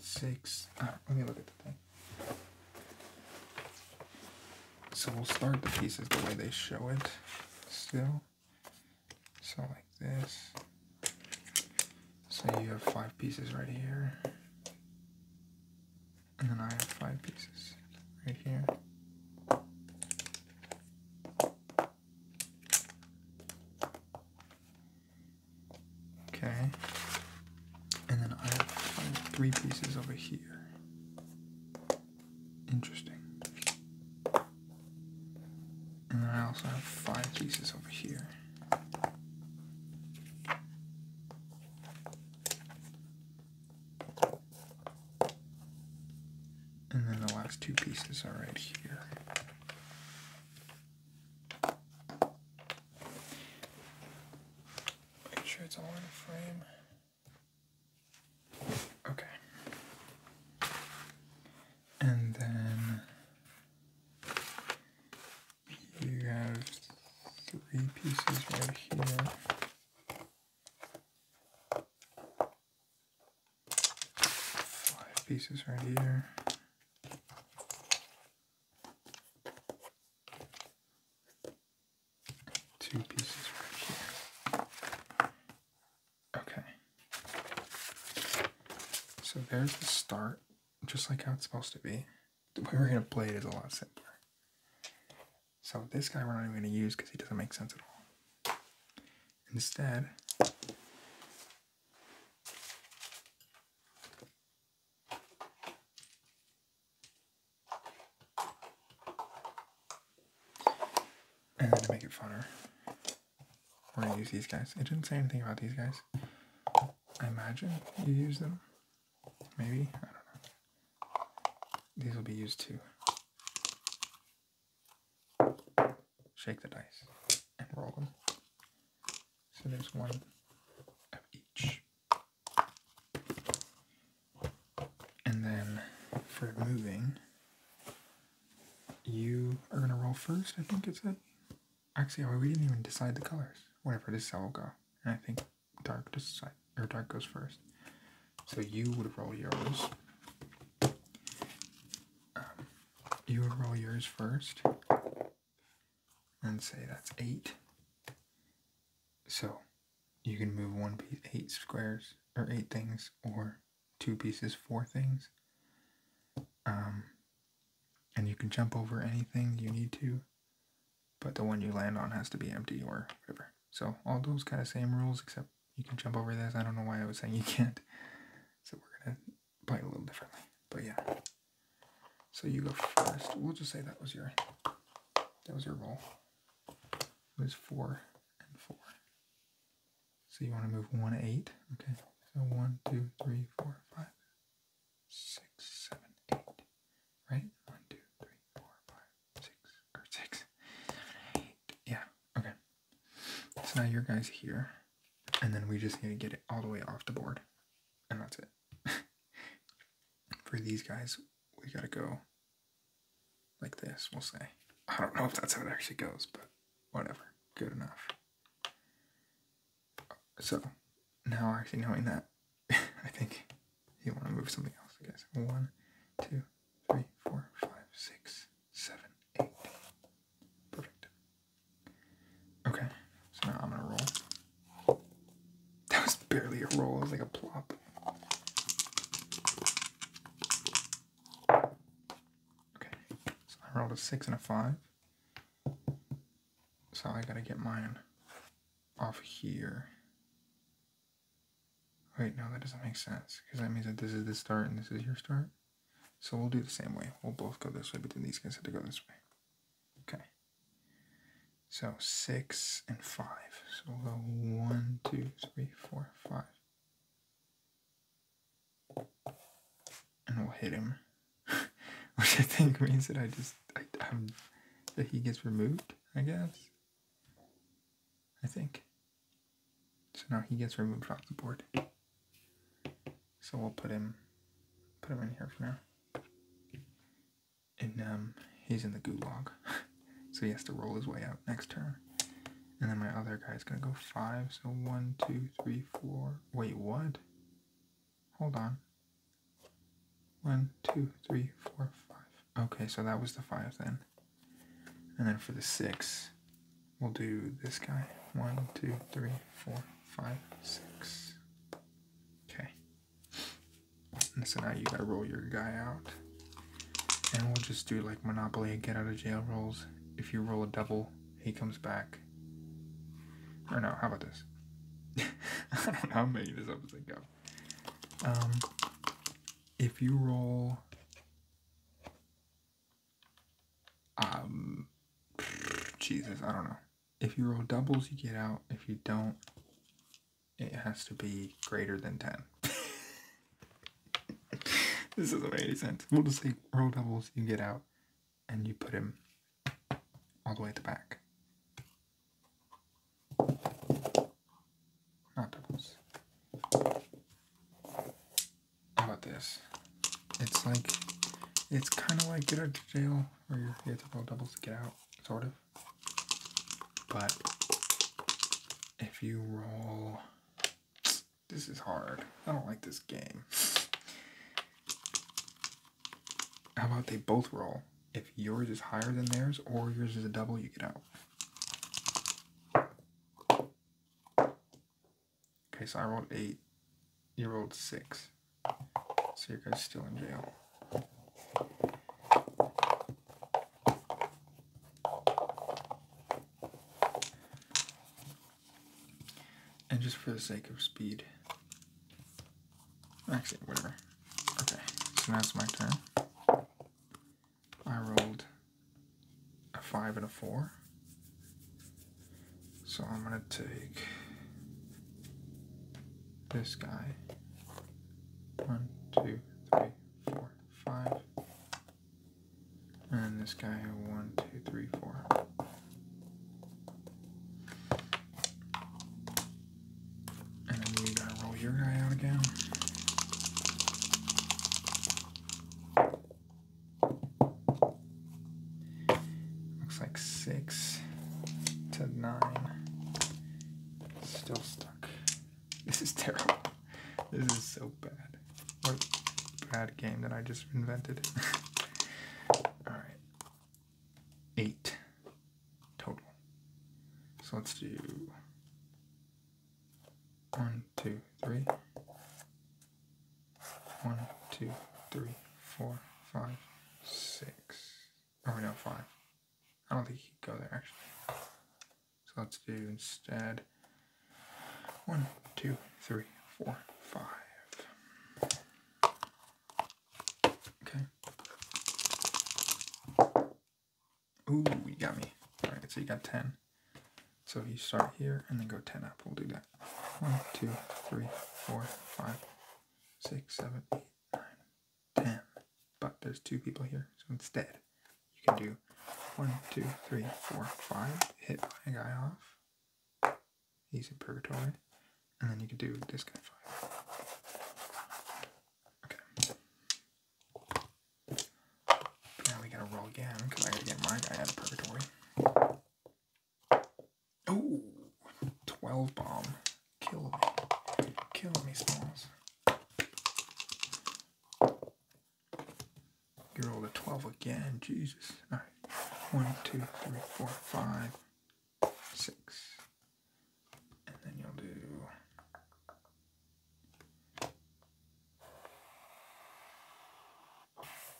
six. Uh, let me look at the thing. So we'll start the pieces the way they show it still. So like this. So you have five pieces right here. And then I have five pieces right here. Okay. And then I have three pieces over here. Interesting. And then I also have five pieces over here. And then the last two pieces are right here. Make sure it's all in a frame. Okay. And then you have three pieces right here five pieces right here. Two pieces right here. Okay. So there's the start, just like how it's supposed to be. The way we're going to play it is a lot simpler. So this guy we're not even going to use because he doesn't make sense at all. Instead, and then to make it funner, we're gonna use these guys. It didn't say anything about these guys. I imagine you use them. Maybe, I don't know. These will be used too shake the dice, and roll them. So there's one of each. And then for moving, you are going to roll first, I think it said. Actually, oh, we didn't even decide the colors. Whatever, this cell will go. And I think dark decide, or dark goes first. So you would roll yours. Um, you would roll yours first and say that's eight. So you can move one piece, eight squares, or eight things, or two pieces, four things. Um, and you can jump over anything you need to, but the one you land on has to be empty or whatever. So all those kind of same rules, except you can jump over this. I don't know why I was saying you can't. So we're gonna probably a little differently. But yeah. So you go first. We'll just say that was your that was your roll. It was four and four. So you want to move one eight. Okay. So one, two, three, four, five, six, seven, eight. Right? One, two, three, four, five, six, or six, seven, eight. Yeah. Okay. So now your guy's here, and then we just need to get it all the way off the board, and that's it. [laughs] For these guys, we gotta go like this, we'll say. I don't know if that's how it actually goes, but whatever, good enough. So, now actually knowing that, [laughs] I think you want to move something else, Okay, guess. One, two, three, four, five, six, seven, eight. Perfect. Okay, so now I'm gonna roll. That was barely a roll, it was like a plop. Okay, so I rolled a six and a five. So I gotta get mine off here. Wait, no, that doesn't make sense because that means that this is the start and this is your start. So we'll do the same way. We'll both go this way, but then these guys have to go this way. Okay. So six and five. So we'll go one, two, three, four, five. And we'll hit him. [laughs] Which I think means that I just, I'm, that he gets removed, I guess. I think. So now he gets removed off the board. So we'll put him put him in here for now. And um he's in the gulag. [laughs] so he has to roll his way out next turn. And then my other guy's gonna go five, so one, two, three, four. Wait, what? Hold on. One, two, three, four, five. Okay, so that was the five then. And then for the six, We'll do this guy. One, two, three, four, five, six. Okay. And so now you gotta roll your guy out. And we'll just do like Monopoly get out of jail rolls. If you roll a double, he comes back. Or no, how about this? [laughs] I don't know, I'm of? this up as I go. Um, if you roll um, Jesus, I don't know. If you roll doubles, you get out. If you don't, it has to be greater than 10. [laughs] this doesn't make any sense. We'll just say roll doubles, you get out, and you put him all the way at the back. Not doubles. How about this? It's like, it's kind of like Get Out of Jail, or you have to roll doubles to get out, sort of. But if you roll, this is hard. I don't like this game. How about they both roll? If yours is higher than theirs, or yours is a double, you get out. Okay, so I rolled eight. You rolled six. So your guy's still in jail. And just for the sake of speed. Actually, whatever. Okay, so now it's my turn. I rolled a five and a four. So I'm going to take this guy. One, two, three, four, five. And this guy, one, two, three, four. And then you gotta roll your guy out again. Looks like six to nine. Still stuck. This is terrible. This is so bad. What bad game that I just invented. [laughs] Alright. Eight total. So let's do one, two, three. One, two, three, four, five, six. Or oh, no, five. I don't think he go there actually. So let's do instead one, two, three, four, five. Okay. Ooh, you got me. Alright, so you got ten. So you start here and then go ten up. We'll do that got one, two, three, four, five, six, seven, eight, nine, ten. But there's two people here, so instead you can do one, two, three, four, five, hit my guy off. He's in purgatory. And then you can do this guy five. Okay. Now we gotta roll again, because I gotta get my guy out of purgatory. Oh, 12 bomb. Kill me. Kill me, Smalls. You rolled a 12 again. Jesus. All right. One, two, three, four, five, six. And then you'll do.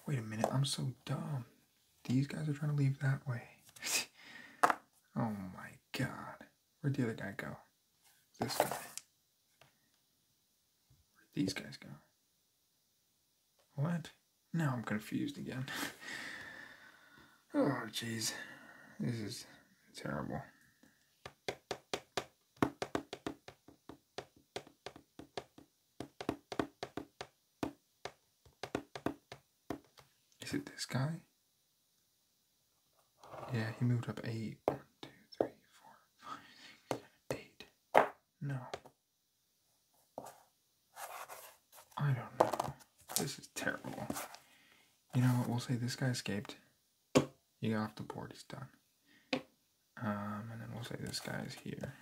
Wait a minute. I'm so dumb. These guys are trying to leave that way. [laughs] oh my god. Where'd the other guy go? This guy. Where'd these guys go? What? Now I'm confused again. [laughs] oh, jeez. This is terrible. Is it this guy? Yeah, he moved up eight. One, two, three, four, five, six, eight. No. I don't know. This is terrible. You know what? We'll say this guy escaped. You got off the board. He's done. Um, and then we'll say this guy's here.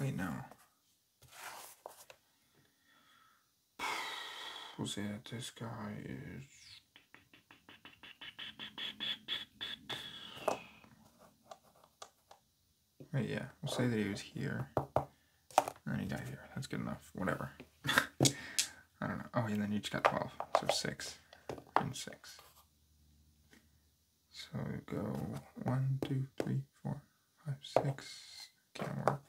Wait, no. We'll see that this guy is Right, yeah. We'll say that he was here. And then he got here. That's good enough. Whatever. [laughs] I don't know. Oh, and then each got 12. So 6 and 6. So go one, two, Can't work.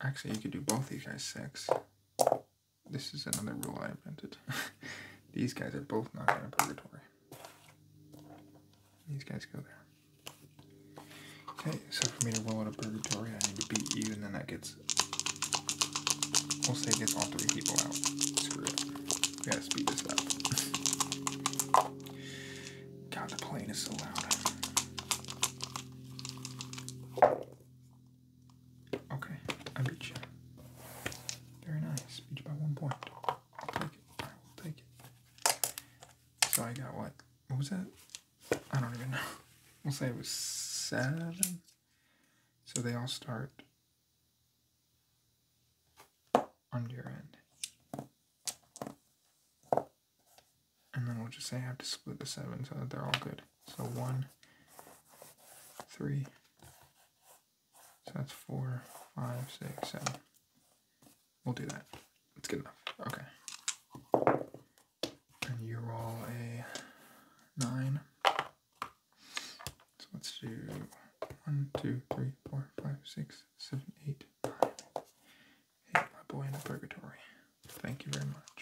Actually, you could do both these guys 6. This is another rule I invented. [laughs] these guys are both not going to purgatory. These guys go there. Okay, so for me to roll out a purgatory, I need to beat you, and then that gets we'll say it gets all three people out. Screw it. We gotta speed this up. God, the plane is so loud. Okay, I beat you. Very nice. Beat you by one point. take it. I will take it. So I got what? What was that? I don't even know. We'll say it was seven. So they all start on your end. And then we'll just say I have to split the seven so that they're all good. So one, three, so that's four, five, six, seven. We'll do that. That's good enough. Okay. And you roll a nine. So let's do 1, 2, 3, 4, 5, 6, 7, 8, 9. Hey, my boy in purgatory. Thank you very much.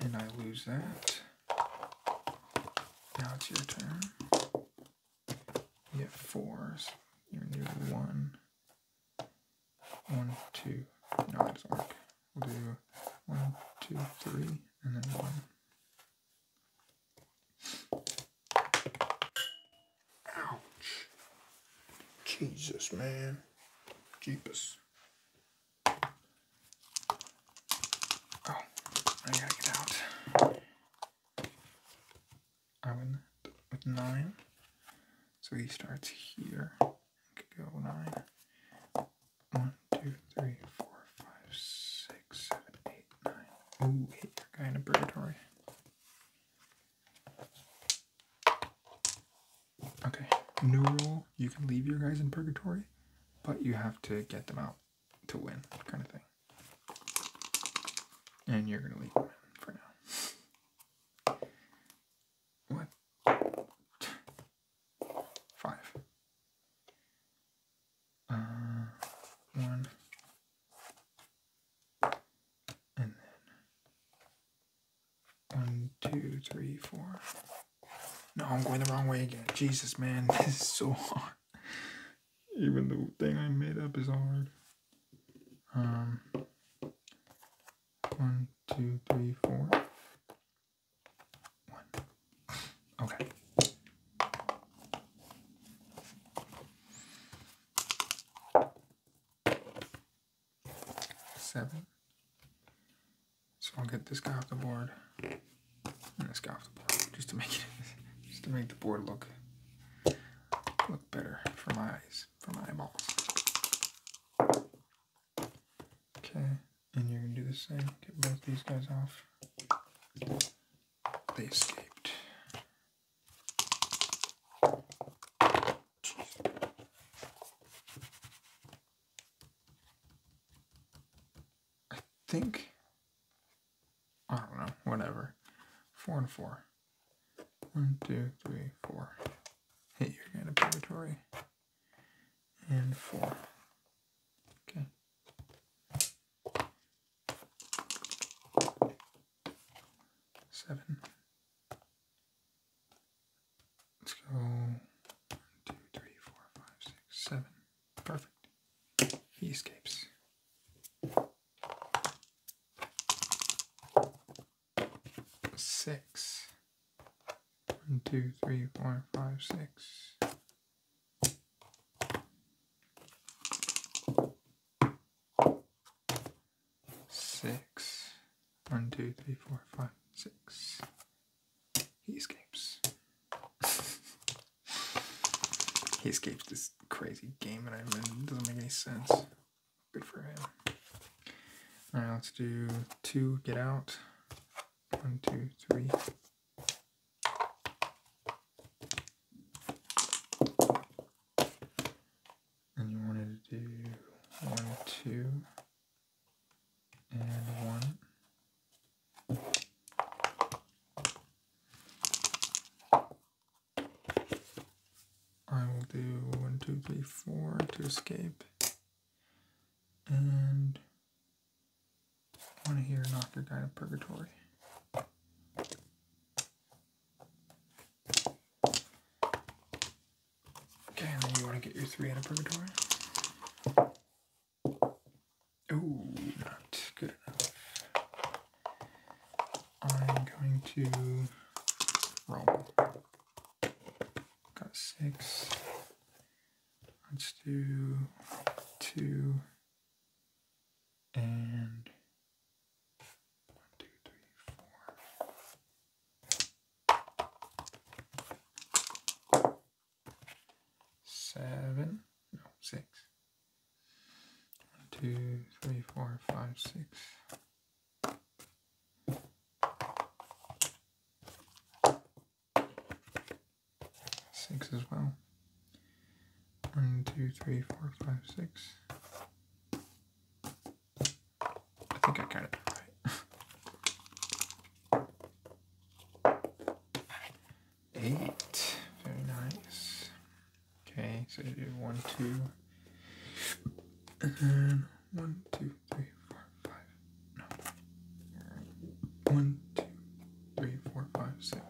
And I lose that. Now it's your turn. You have fours. you're new one, one, two. No, it doesn't work. We'll do one, two, three, and then one. Ouch. Jesus, man. Jeepus. Oh, I gotta get out. I win with nine. So he starts here go nine. One, two, three, four, five, six, seven, eight, nine. Ooh, hit your guy purgatory. Okay, new rule, you can leave your guys in purgatory, but you have to get them out to win, kind of thing. And you're gonna leave them for now. What? Five. Uh, one. And then one, two, three, four. No, I'm going the wrong way again. Jesus, man, [laughs] this is so hard. Even the thing I made up is hard. Um, one, two, three, four. One. Okay. Seven. So I'll get this guy off the board this guy off the board just to make it [laughs] just to make the board look look better for my eyes, for my eyeballs. Okay, and you're gonna do the same. Get both these guys off. They escaped. I think I don't know, whatever. Four and four. One, two, three, four. Hey, you're gonna purgatory and four. Okay. Seven. Let's go one, two, three, four, five, six, seven. Perfect. He escapes six. One, two, three, four, five, six. Six. One, two, three, four, five, six. He escapes. [laughs] he escapes this crazy game that I'm It doesn't make any sense. Good for him. All right, let's do two, get out. One, two, three. And you wanted to do one, two, and one. I will do one, two, three, four to escape. And I want to hear Knock Guy Guide of Purgatory. Okay, and then you want to get your three out of Purgatory. Oh, not good enough. I'm going to roll. Got six. Let's do two and one, two, three, four, seven, no, six. One, two, six as well. One, two, three, four, five, six. I think I got it right. Eight. Very nice. Okay, so you do one, two, and then one, two, three, four, five. No. One, two, three, four, five, six.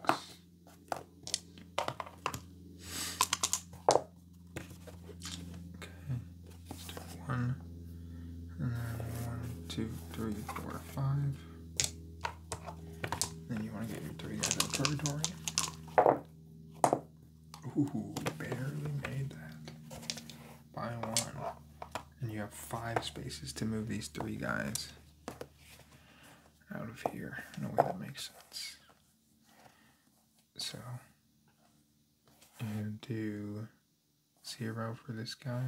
Okay. Let's do one. And then one, two, three, four, five. Then you want to get your three out of purgatory. Ooh, barely made that buy one. And you have five spaces to move these three guys out of here in way that makes sense. So, and do zero for this guy,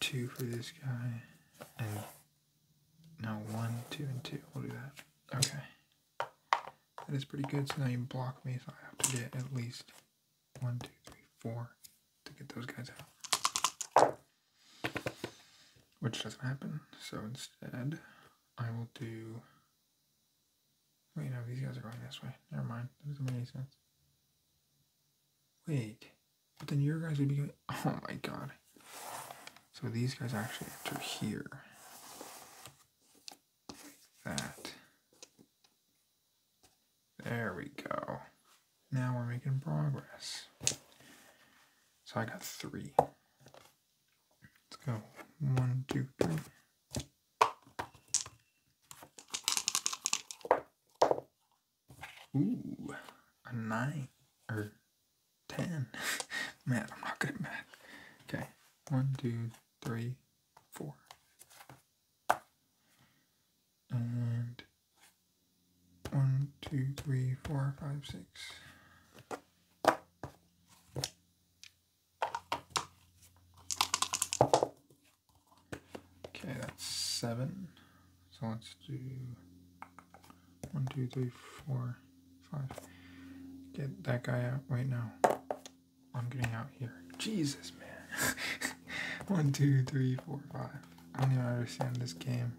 two for this guy, and now one, two, and two. We'll do that. Okay. That is pretty good, so now you block me, so I have to get at least one, two, three, four to get those guys out. Which doesn't happen, so instead I will do... Wait, no, these guys are going this way. Never mind, that doesn't make any sense. Wait, but then your guys would be going... [laughs] Oh my god. So these guys actually enter here that. There we go. Now we're making progress. So I got three. Let's go. One, two, three. Ooh, a nine or ten. [laughs] Man, I'm not good at math. Okay, one, two, three, four. And one, two, three, four, five, six. Okay, that's seven. So let's do one, two, three, four, five. Get that guy out right now. I'm getting out here. Jesus, man. [laughs] One, two, three, four, five. I don't even understand this game.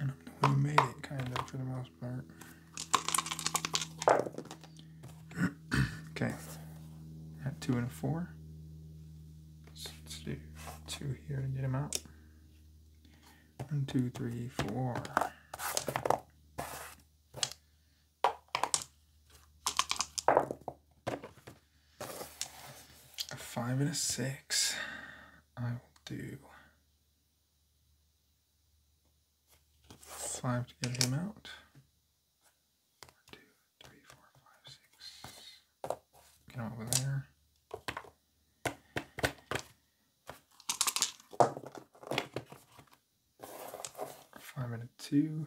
And I'm the made it, kind of, for the most part. [clears throat] okay. At two and a four. Let's do two here to get him out. One, two, three, four. A five and a six. I will do five to get him out. One, two, three, four, five, six. Get him over there. Five and a two.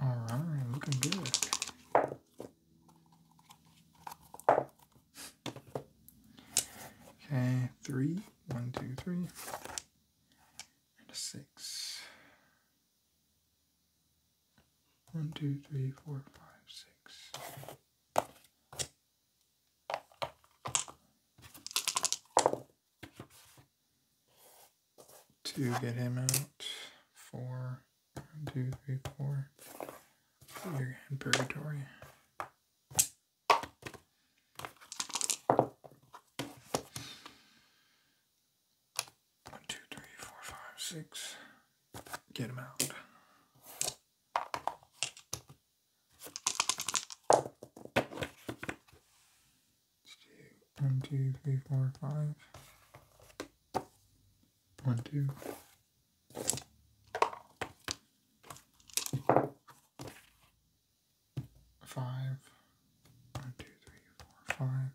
All right, looking good. Okay, three, one, two, three, and a six. One, two, three, four, five, six. to get him out. Four. One, two, three, four. You're in purgatory. One, two, three, four, five, six. Get him out. One, two, three, four, five one, two. Five, one,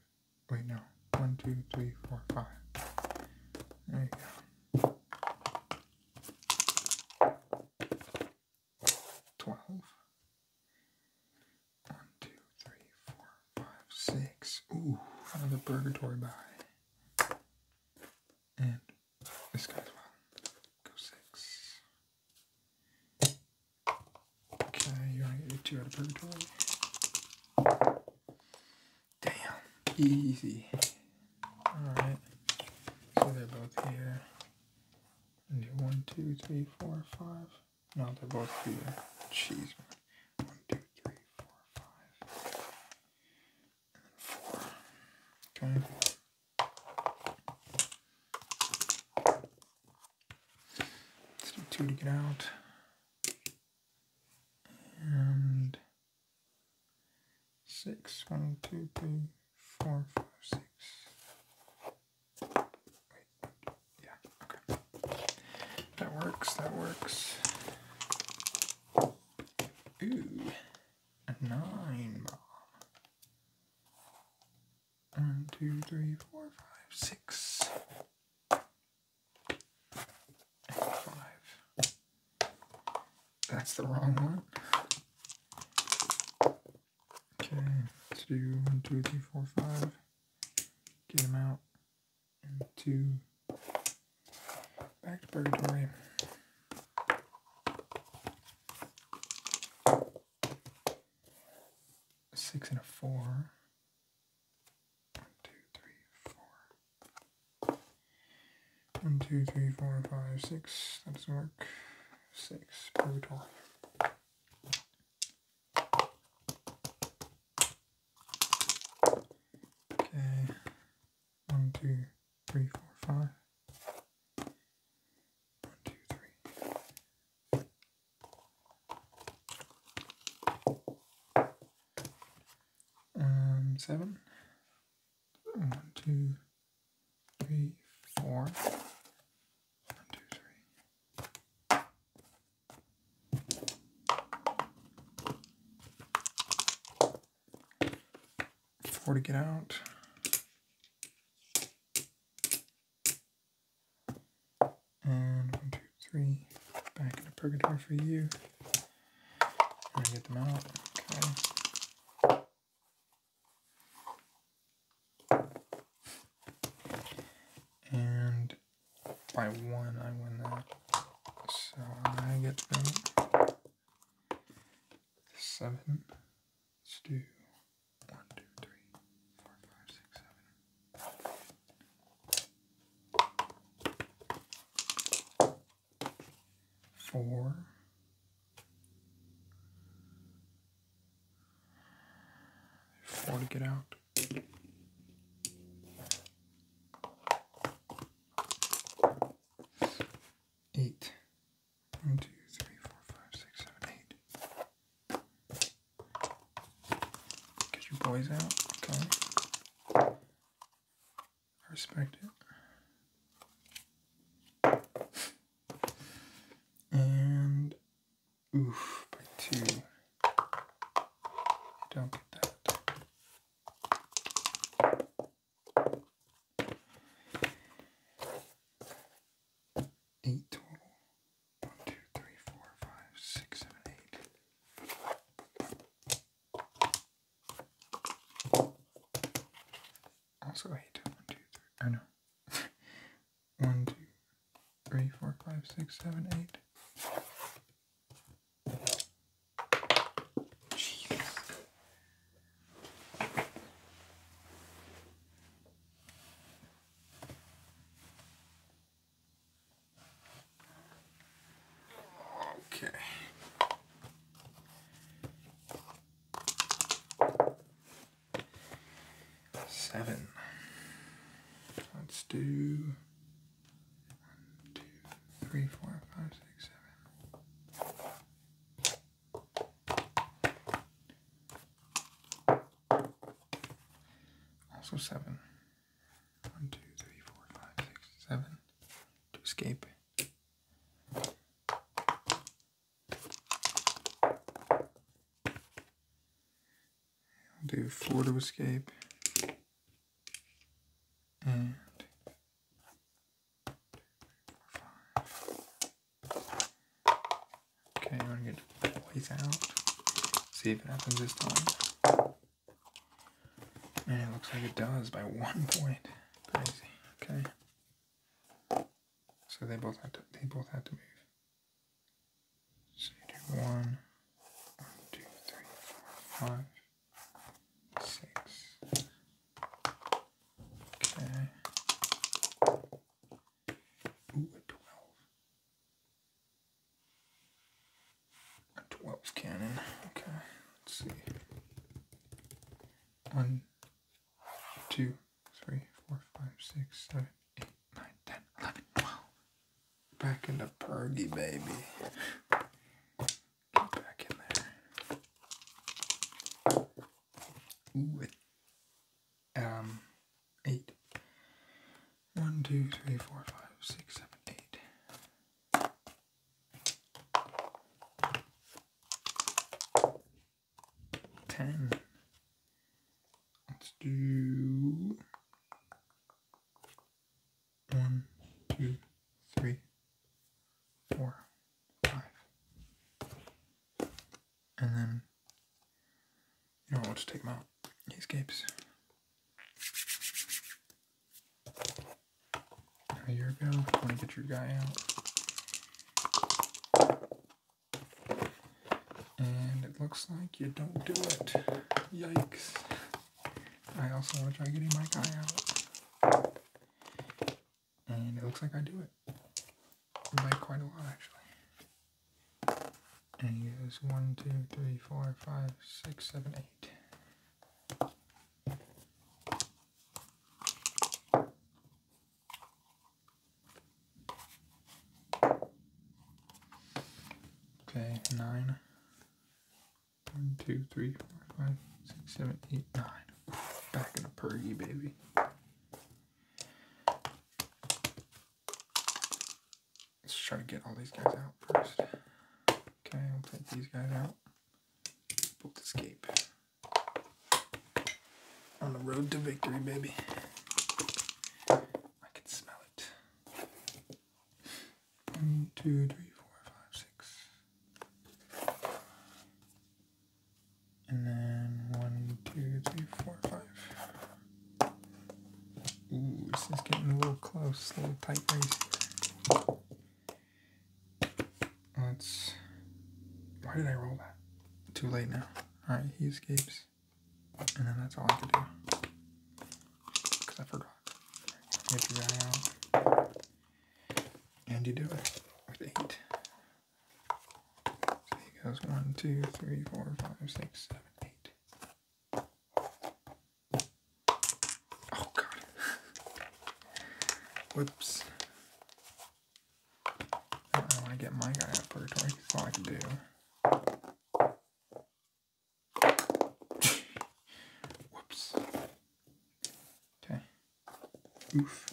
Wait, no. One, two, three, four, five. There you go. Twelve. One, two, three, four, five, six. Ooh, another purgatory buy. And this guy's one. Go six. Okay, you want to get two out of purgatory? Damn, easy. Alright, so they're both here. And do one, two, three, four, five. No, they're both here. Jeez. One, two, three, four, five, and four. Okay. Let's do two to get out. And six. One, two, three, four, five, six. Wait. Yeah, okay. That works, that works. Ooh, a nine bomb. That's the wrong one. Okay, let's do one, two, three, four, five. Get him out and two. Back to purgatory. A six and a four. One, two, three, four. One, two, three, four, five, six. That doesn't work. Six. Purgatory. Okay, one, two, three, four, five. One, two, three. Um, seven. One, two, three, four. One, two, three. Four to get out. And one, two, three. Back into purgatory for you. I'm get them out. Okay. and by one, I win that. So I get that. Seven. Let's do one, two, three, four, five, six, seven. Four. Four to get out eight. One, two, three, Get your boys out, okay? I respect it. And oof by two. don't get that. Eight total. One, two, three, four, five, six, seven, eight. Also eight. One, two, three. I oh, know. [laughs] One, two, three, four, five, six, seven, eight seven. Let's do one, two, three, four, five, six, seven. Also seven. One, two, three, four, five, six, seven. To escape. I'll do four to escape and two, three, four, five. Okay, you want to get boys out. See if it happens this time. And it looks like it does by one [laughs] point. Crazy. Okay. So they both had to. They both had to move. So you do one, one, two, three, four, five six. Okay. Ooh, a twelve. A twelve cannon. Okay. Let's see. One, two, three, four, five, six, seven, eight, nine, ten, eleven, twelve. Back into Pergy, baby back in there. Ooh, um, eight. One, two, three, four, five, six, seven, eight. Ten. Let's do one, two, three, four, five. And then, you know, I'll just take them out. He escapes. A year ago, I to get your guy out. And it looks like you don't do it. Yikes. I also want to try getting my guy out. And it looks like I do it. By quite a lot, actually. And here's one, two, three, four, five, six, seven, eight. Okay, nine. One, two, three, four, five, six, seven, eight, nine. Back in a pergy, baby. Let's try to get all these guys out first. Okay, we'll take these guys out. escape. On the road to victory, baby. I can smell it. One, two, three, four, five, six. And then one, two, three, four, five. Ooh, this is getting a little close, a little tight race. Let's. Why did I roll that? Too late now. Alright, he escapes. And then that's all I can do. Because I forgot. Get the guy out. And you do it with eight. So he goes one, two, three, four, five, six, seven, eight. Oh god. [laughs] Whoops. I want to get my guy out of purgatory. That's all I can do. [laughs] Whoops. Okay. Oof.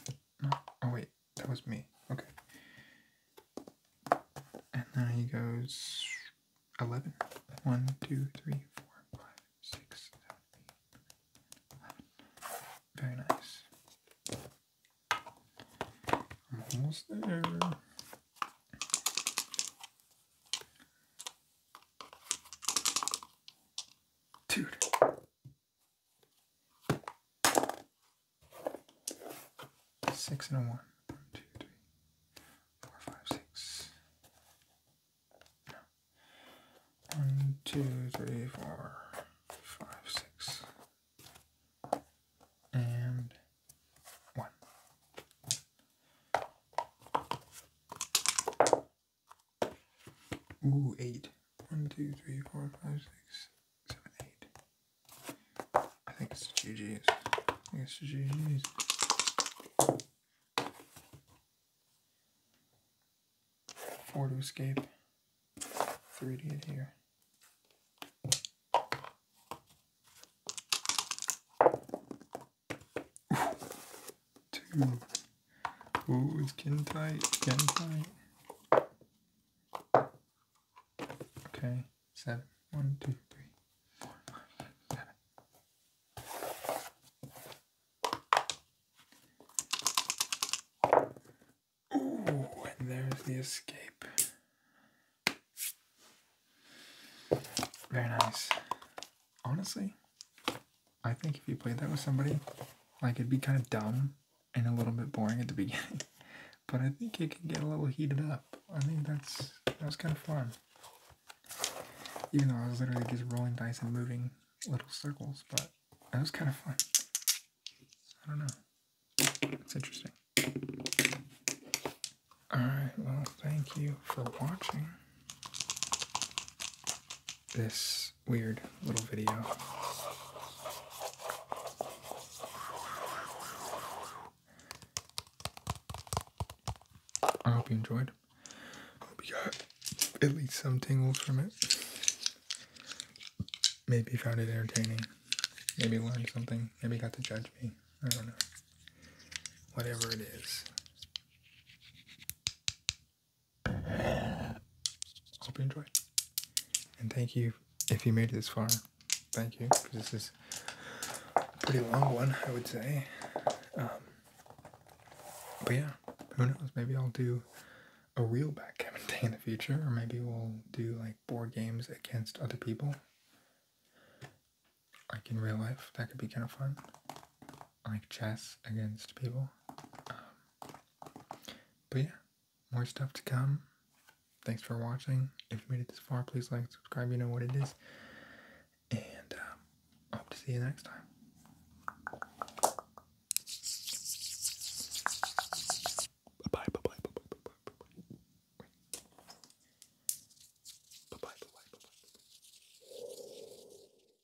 Oh wait, that was me. Okay. And then he goes 11. 1, 2, 3, 4, 5, 6, 7, 8, 9, 11. Very nice. I'm almost there. Two, Six and a one. One, two, three, four, five, six. One, two, three, four, five, six. And one. Ooh, eight. One, two, three, four, five, six, seven, eight. I think it's GG's. I think it's GG's. Four to escape. Three to here. Two. Ooh, getting tight, Getting tight. Okay, seven. One, two, three, four, five, seven. Ooh, and there's the escape. Very nice. Honestly, I think if you play that with somebody, like it'd be kind of dumb and a little bit boring at the [laughs] beginning, but I think it can get a little heated up. I think that's that was kind of fun. Even though I was literally just rolling dice and moving little circles, but that was kind of fun. I don't know. It's interesting. Alright, well, thank you for watching this weird little video. I hope you enjoyed. hope you got at least some tingles from it. Maybe found it entertaining. Maybe learned something. Maybe got to judge me. I don't know. Whatever it is. Hope you enjoyed. And thank you if you made it this far. Thank you. This is a pretty long one, I would say. Um, but yeah, who knows? Maybe I'll do a real backgammon [laughs] day in the future, or maybe we'll do like board games against other people, like in real life. That could be kind of fun like chess against people. Um, but yeah, more stuff to come. Thanks for watching. If you made it this far, please like, and subscribe, you know what it is. And um, hope to see you next time. Bye bye bye bye bye bye bye bye. Bye bye bye bye bye.